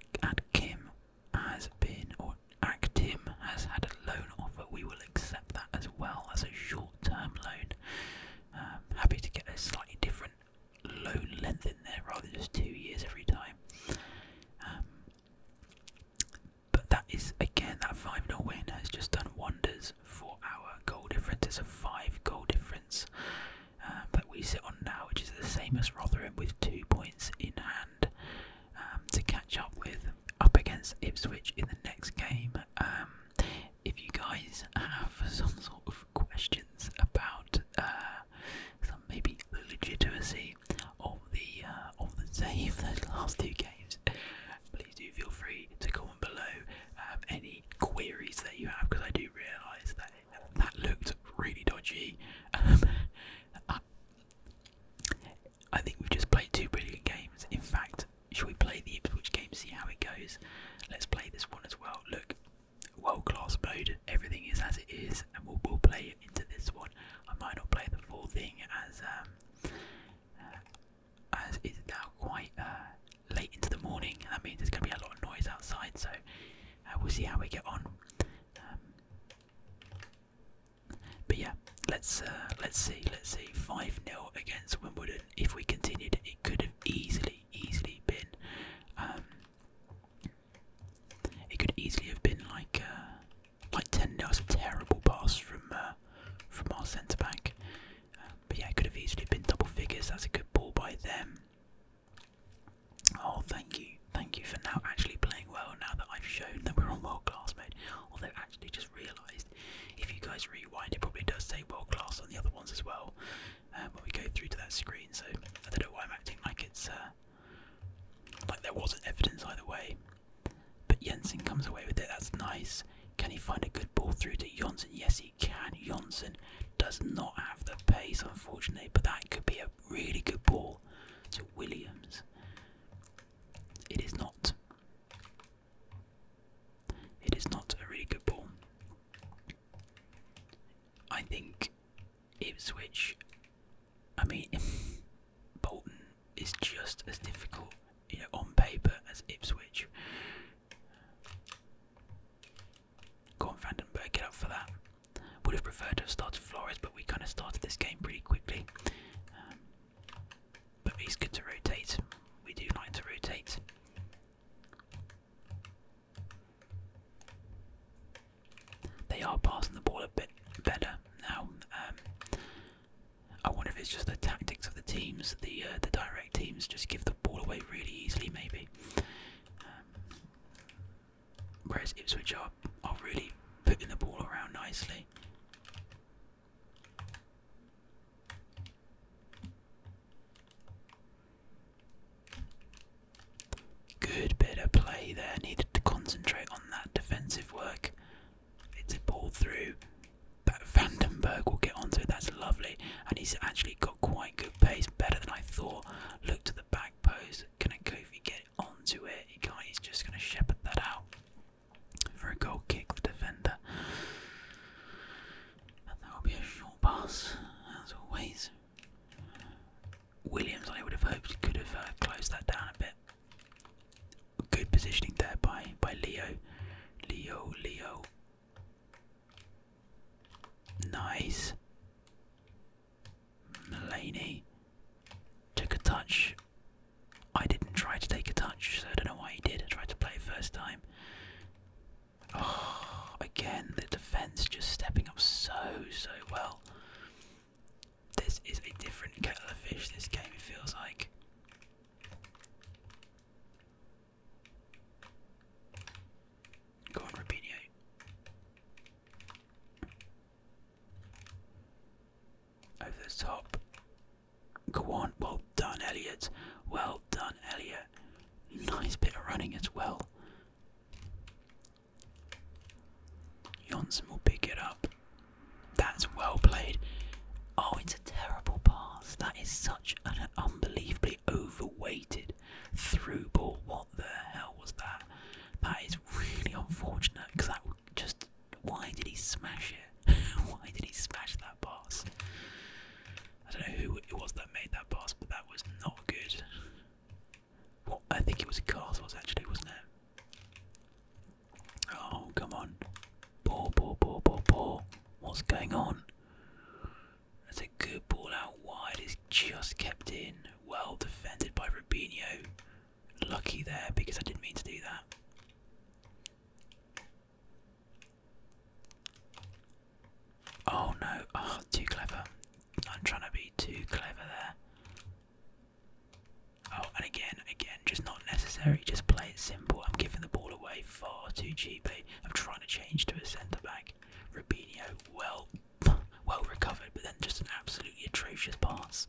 Kim has been, or Actim has had a loan offer. We will accept that as well as a short-term loan. Um, happy to get a slightly different low length in there rather than just two years every time. Um, but that is again that 5 0 win has just done wonders for our goal difference. It's a 5 goal difference uh, that we sit on now, which is the same as Rotherham with two points in hand um, to catch up with up against Ipswich in the next game. Um, if you guys have some sort of question about uh, maybe the legitimacy of the uh, of the save those last two games, please do feel free to comment below um, any queries that you have because I do realise that that looked really dodgy. Um, I, think we've just played two brilliant games. In fact, should we play the Ipswich game, see how it goes? Let's play this one as well. Look, world class mode. Everything is as it is, and we'll, we'll play into this one. I might not play the full thing as um, uh, as it's now quite uh, late into the morning. That means there's going to be a lot of noise outside, so uh, we'll see how we get on. Um, but yeah, let's let's see, let's see. Five 0 against Wimbledon. If we continued, it could have easily, easily been. Um, it could easily have been like uh, like ten. That was terrible pass from uh, from our centre back. Um, but yeah, it could have easily been double figures. That's a good ball by them. Oh, thank you, thank you for now actually playing well. Now that I've shown that we're on world class mode, although actually just realised if you guys rewind, it probably does say world class on the other ones as well um, uh, when we go through to that screen. So I don't know why I'm acting like it's uh, like there wasn't evidence either way. But Jensen comes away with it. That's nice. Can he find a good ball through to Jonsen? Yes, he can. Jonsen does not have the pace, unfortunately, but that could be a really good ball to Williams. It is not. It is not a really good ball. I think Ipswich, I mean, Bolton is just as difficult, you know, on paper as Ipswich. Go on, Vandenberg, get up for that. Would have preferred to have started Flores, but we kind of started this game pretty quickly. Um, but it's good to rotate. We do like to rotate. They are passing the ball a bit better now. Um, I wonder if it's just the tactics of the teams, the uh, the direct teams just give the ball away really easily, maybe. Um, whereas Ipswich are, are really putting the ball around nicely. Good bit of play there. Needed to concentrate on that defensive work. It's a ball through. But Vandenberg will get onto it. That's lovely. And he's actually got quite good pace, better than I thought. Look to the back post. Can a Kofi get onto it? He can't. He's just going to shepherd that out for a goal kick. The defender. And that will be a short pass, as always. Williams, I would have hoped, could have uh, closed that down a bit. Good positioning there by by Leo, Leo, Leo. Nice. Mulaney took a touch. I didn't try to take a touch, so I don't know why he did. I tried to play first time. Oh, again, the defense just stepping up so, so well. This is a different kettle of fish, this game, feels like. Go on, Rubinho. Over the top. Go on. Well done, Elliot. Well done, Elliot. Nice bit of running as well. Johnson will pick it up. That's well played. Oh, it's a terrible pass. That is such an unbelievably overweighted through ball. What the hell was that? That is really unfortunate because that just. Why did he smash it? why did he smash that pass? I don't know who it was that made that pass, but that was not good. Well, I think it was castles actually, wasn't it? Oh, come on. Ball, ball, ball, ball, ball. What's going on? That's a good ball out wide. It's just kept in. Well defended by Rubinho. Lucky there because I didn't mean to do that. Oh no, oh, too clever. I'm trying to be too clever there. Oh, and again, again, just not necessary. Just play it simple. I'm giving the ball away far too cheaply. I'm trying to change to a centre back. Rubinho, well, well recovered, but then just an absolutely atrocious pass.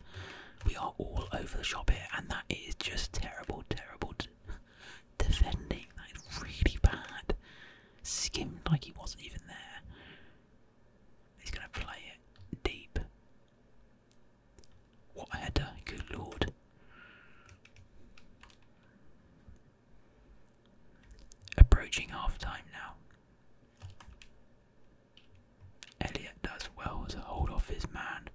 We are all over the shop here, and that is just terrible, terrible defending. That is really bad. Skimmed like he wasn't even there. He's going to play it deep. What a header, good lord. Approaching half time now. Elliot does well to hold off his man.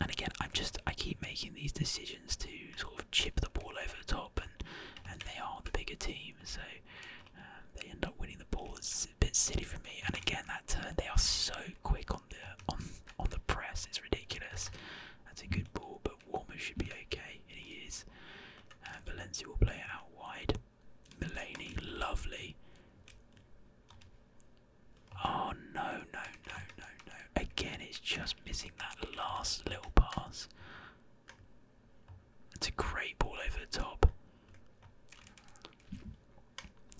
And again, I'm just I keep making these decisions to sort of chip the ball over the top, and and they are the bigger team, so um, they end up winning the ball. It's a bit silly for me. And again, that turn they are so quick on the on on the press. It's ridiculous. That's a good ball, but Warmer should be okay, and he is. Uh, Valencia will play it out wide. Mulaney, lovely. Oh no, no, no, no, no. Again, it's just missing that last little pass. It's a great ball over the top.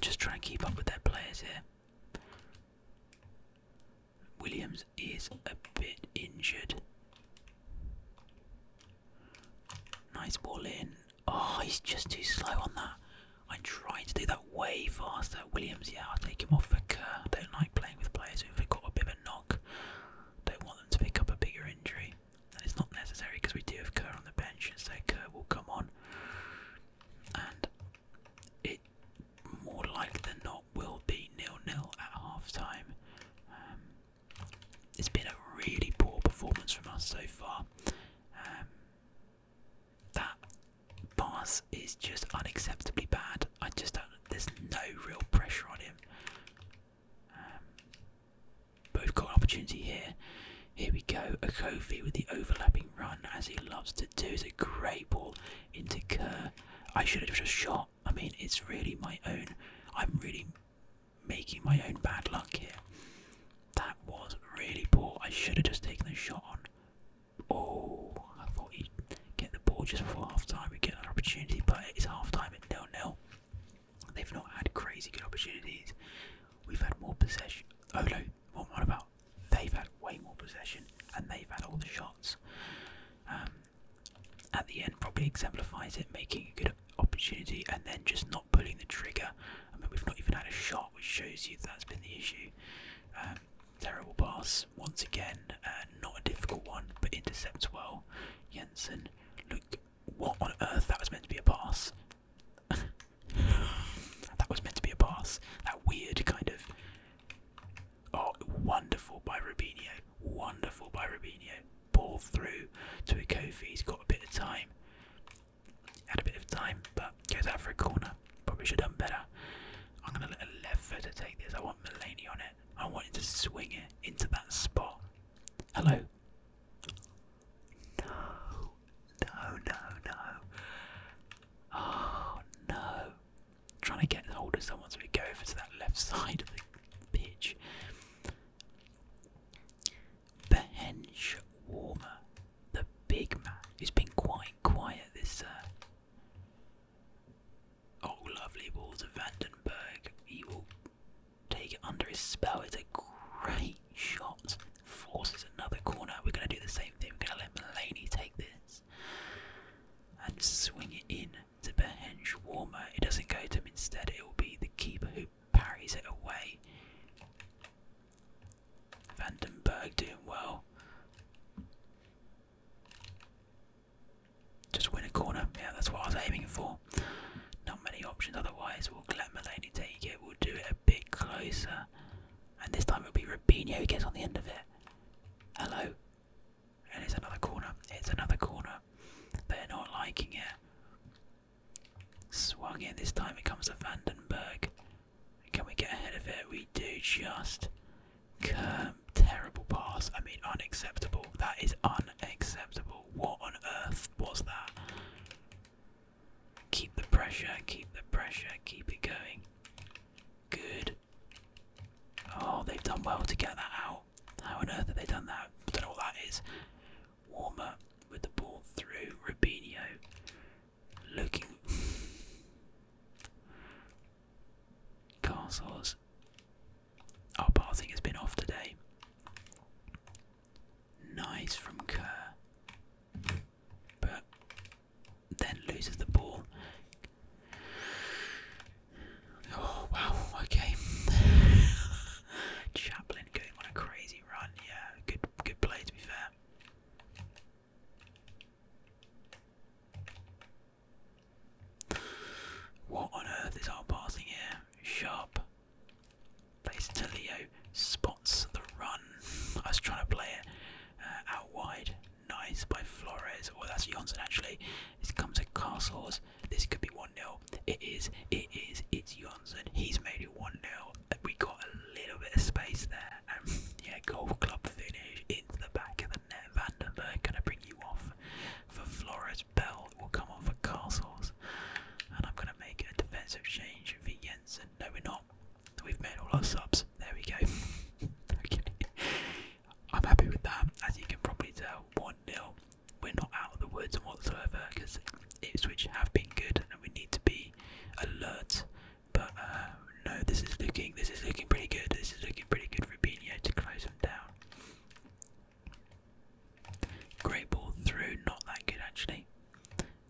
Just try and keep up with their players here. Williams is a bit injured. Nice ball in. Oh, he's just too slow on that. I tried to do that way faster. Williams, yeah, I'll take him off for Kerr. I don't like playing with players who've got a bit of a knock. Don't want them to pick up a bigger injury, and it's not necessary because we do have Kerr on the bench, and so Kerr will come on, and it more likely than not will be nil-nil at half-time. Um, it's been a really poor performance from us so far. Um, that pass is just unacceptably bad. I just don't. There's no real pressure on him. Um, we've got an opportunity here. Here we go. Okofi with the overlapping run, as he loves to do. It's a great ball into Kerr. I should have just shot. I mean, it's really my own. I'm really making my own bad luck here. That was really poor. I should have just taken the shot on. Oh, I thought he get the ball just before half time and get an opportunity, but it's half time at 0 0. They've not had crazy good opportunities. We've had more possession. Oh no, what about? They've had way more possession and they've had all the shots. Um, at the end, probably exemplifies it, making a good opportunity and then just not pulling the trigger. I mean, we've not even had a shot, which shows you that's been the issue. Um, terrible pass once again, uh, not a difficult one, but intercepts well now. Jensen, look, what on earth? That was meant to be a pass. that was meant to be a pass. That weird kind of. Oh, wonderful by Rubini.o Wonderful by Rubinho. Ball through to a Kofi. He's got a bit of time. Had a bit of time, but goes out for a corner. Probably should have done better. I'm going to let a left footer take this. I want Mulaney on it. I wanted to swing it into that spot. Hello? No, no, no, no. Oh no. trying to get hold of someone so we go over to that left side of the pitch. Bench Warmer, the big man, who's been quite quiet this uh, Oh, lovely balls of Vandenberg. He will take it under his spell. It's a great shot. Forces another corner. We're going to do the same thing. We're going to let Mulaney take this and swing it in to Behenge Warmer. It doesn't go to him. Instead, it will be the keeper who parries it away. Vandenberg doing well. Just win a corner. Yeah, that's what I was aiming for. Not many options otherwise. We'll let Mulaney take it. We'll do it a bit closer. And this time it'll be Rubinho who gets on the end of it. Hello. And it's another corner. It's another corner. They're not liking it. Swung in. This time it comes to Vandenberg. Can we get ahead of it? We do just. Come terrible pass. I mean, unacceptable. That is unacceptable. What on earth was that? Keep the pressure, keep the pressure, keep it going. Good. Oh, they've done well to get that out. How on earth have they done that? I don't know what that is. Warmer with the ball through. Rubinho looking. Castles our passing has been off today. Nice from Kerr. But then loses the ball. Oh wow, okay. Chaplin going on a crazy run, yeah. Good good play to be fair. What on earth is our passing here? Sharp. Plays to Leo. Spots the run. I was trying to play it uh, out wide. Nice by Flores. Well, oh, that's Johnson actually. This comes at Castles. This could be 1 0. It is. It is. It's Johnson. He's made it 1 0. We got a little bit of space there. Um, yeah, golf club finish into the back of the net. Vandenberg going to bring you off for Flores. Bell will come on for castles. And I'm gonna make a defensive change for Jensen. No we're not. We've made all our subs. There we go. I'm happy with that. As you can probably tell, 1-0. We're not out of the woods whatsoever because Ipswich have been good and we need to be alert. But uh, no, this is looking this is looking pretty good. This is looking pretty good for Binho to close them down. Great ball through, not that good actually.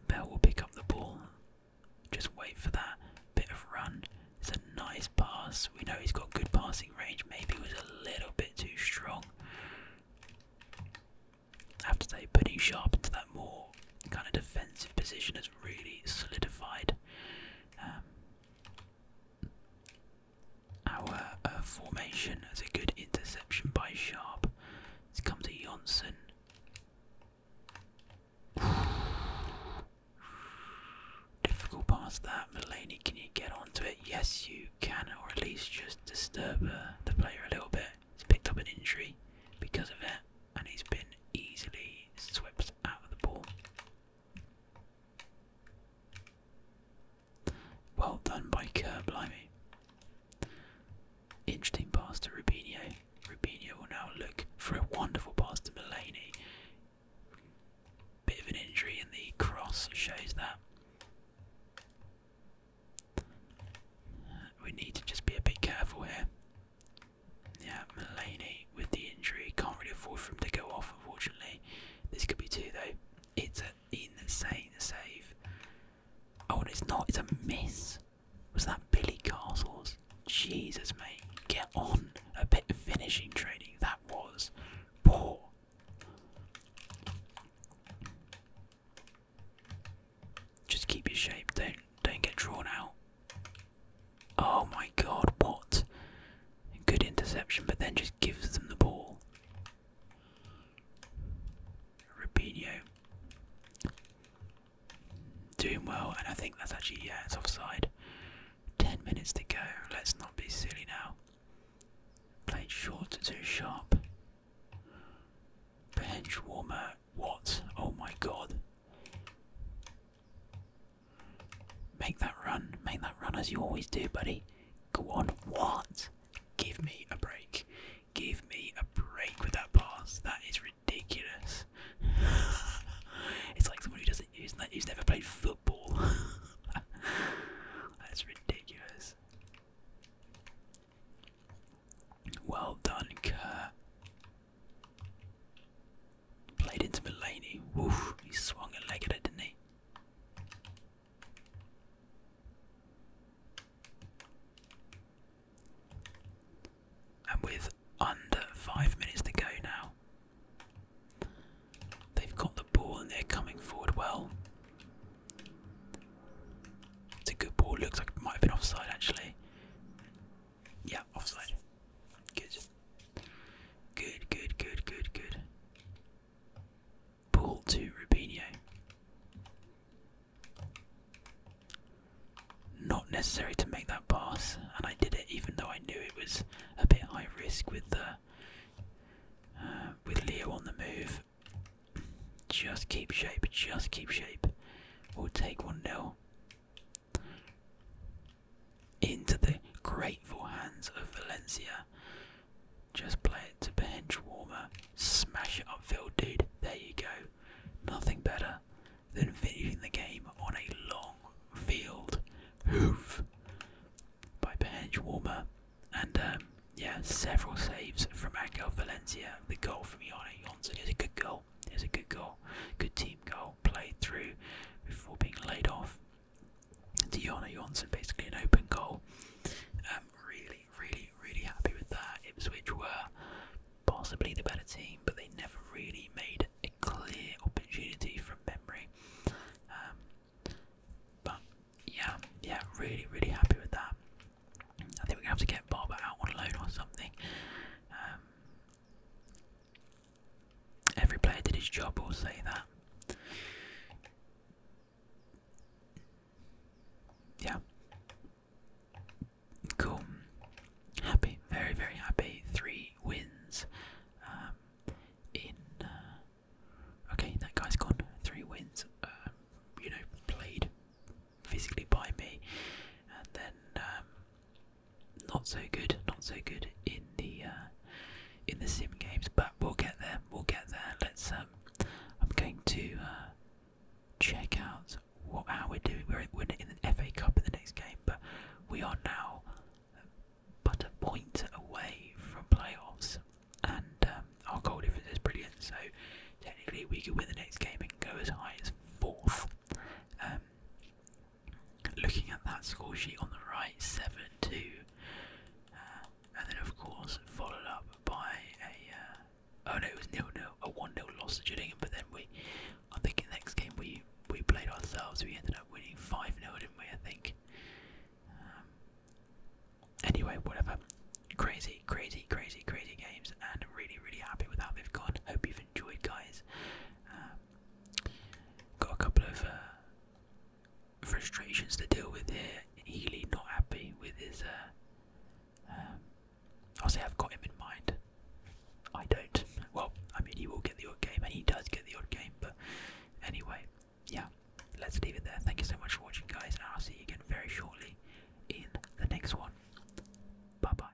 Bell will pick up the ball. Just wait for that bit of run. It's a nice pass. We know he's got good passing range. Maybe it was a little bit too strong. I have to say, putting Sharp into that more kind of defensive position has really solidified um, our uh, formation as a good interception by Sharp. Let's come to Johnson. Difficult pass that. Mulaney, can you get onto it? Yes, you can, or at least just disturb uh, the player a little bit. He's picked up an injury because of it, and he's been easily swept out of the ball. Well done by Kerr, blimey. Interesting pass to Rubinho. Rubinho will now look for a wonderful pass to Mulaney. Bit of an injury in the cross shows that. We need to just be a bit careful here. Yeah, Mulaney with the injury. Can't really afford for him to go off, unfortunately. This could be two, though. It's a in insane save. Oh, and it's not, it's a miss. Was that Billy Castles? Jesus, mate. Get on. A bit of finishing training. That was poor. Just keep your shape. Don't don't get drawn out. Oh my god, what? Good interception, but then just gives them the ball. Rubinho doing well, and I think that's actually yeah, it's offside. Ten minutes to go. Let's not be silly now. Played short to too sharp. Bench warmer. What? Oh my god. Make that run. Make that run as you always do, buddy. Go on. What? Give me a break. Give me a break with that pass. That is ridiculous. it's like someone who doesn't use that. He's never played football. That's ridiculous. Well done, Kerr. Played into Mulaney. Woof, he swung a leg at it, didn't he? And with under five minutes to go now, they've got the ball and they're coming forward well. It's a good ball, looks like it might have been offside actually. Yeah, offside. Good. Good, good, good, good, good. Ball to Rubinho. Not necessary to make that pass, and I did it even though I knew it was a bit high risk with the uh, with Leo on the move. Just keep shape, just keep shape. We'll take one nil into the grateful hands of Valencia. Just play it to bench Smash it upfield, dude. There you go. Nothing better than finishing the game on a long field hoof by bench And um, yeah, several saves from Angel Valencia. The goal from Ione Johnson is a good goal. It's a good goal. Good team goal. Played through before being laid off. Deanna Johnson, basically an open goal. Um, really, really, really happy with that. Ipswich were possibly the better team, but they never really made a clear opportunity from memory. Um, but yeah, yeah, really, really happy with that. I think we're gonna have to get Barber out on loan or something. Um, every player did his job, we'll say that yeah. Cool. Happy, very, very happy. Three wins. Um, in uh, okay, that guy's gone. Three wins. Um, you know, played physically by me, and then um, not so good. Not so good in the uh, in the sim games, but we'll get there. We'll get there. Let's. Um, I'm going to uh, check out what how we're doing. We're, in the FA Cup in the next game, but we are now but a point away from playoffs, and um, our goal difference is brilliant. So technically, we could win the next game and go as high as fourth. Um, looking at that score sheet on the right, seven two. Uh, and then of course followed up by a uh, oh no it was nil nil a one 0 loss to Gillingham, but then we I think in the next game we we played ourselves we ended up winning five 0 didn't we I think um, anyway whatever crazy crazy crazy crazy games and really really happy with how we have gone hope you've enjoyed guys um, got a couple of uh, frustrations to deal with here. Healy not happy with his. Uh, um, i say I've got him in mind. I don't. Well, I mean, he will get the odd game, and he does get the odd game. But anyway, yeah, let's leave it there. Thank you so much for watching, guys, and I'll see you again very shortly in the next one. Bye bye.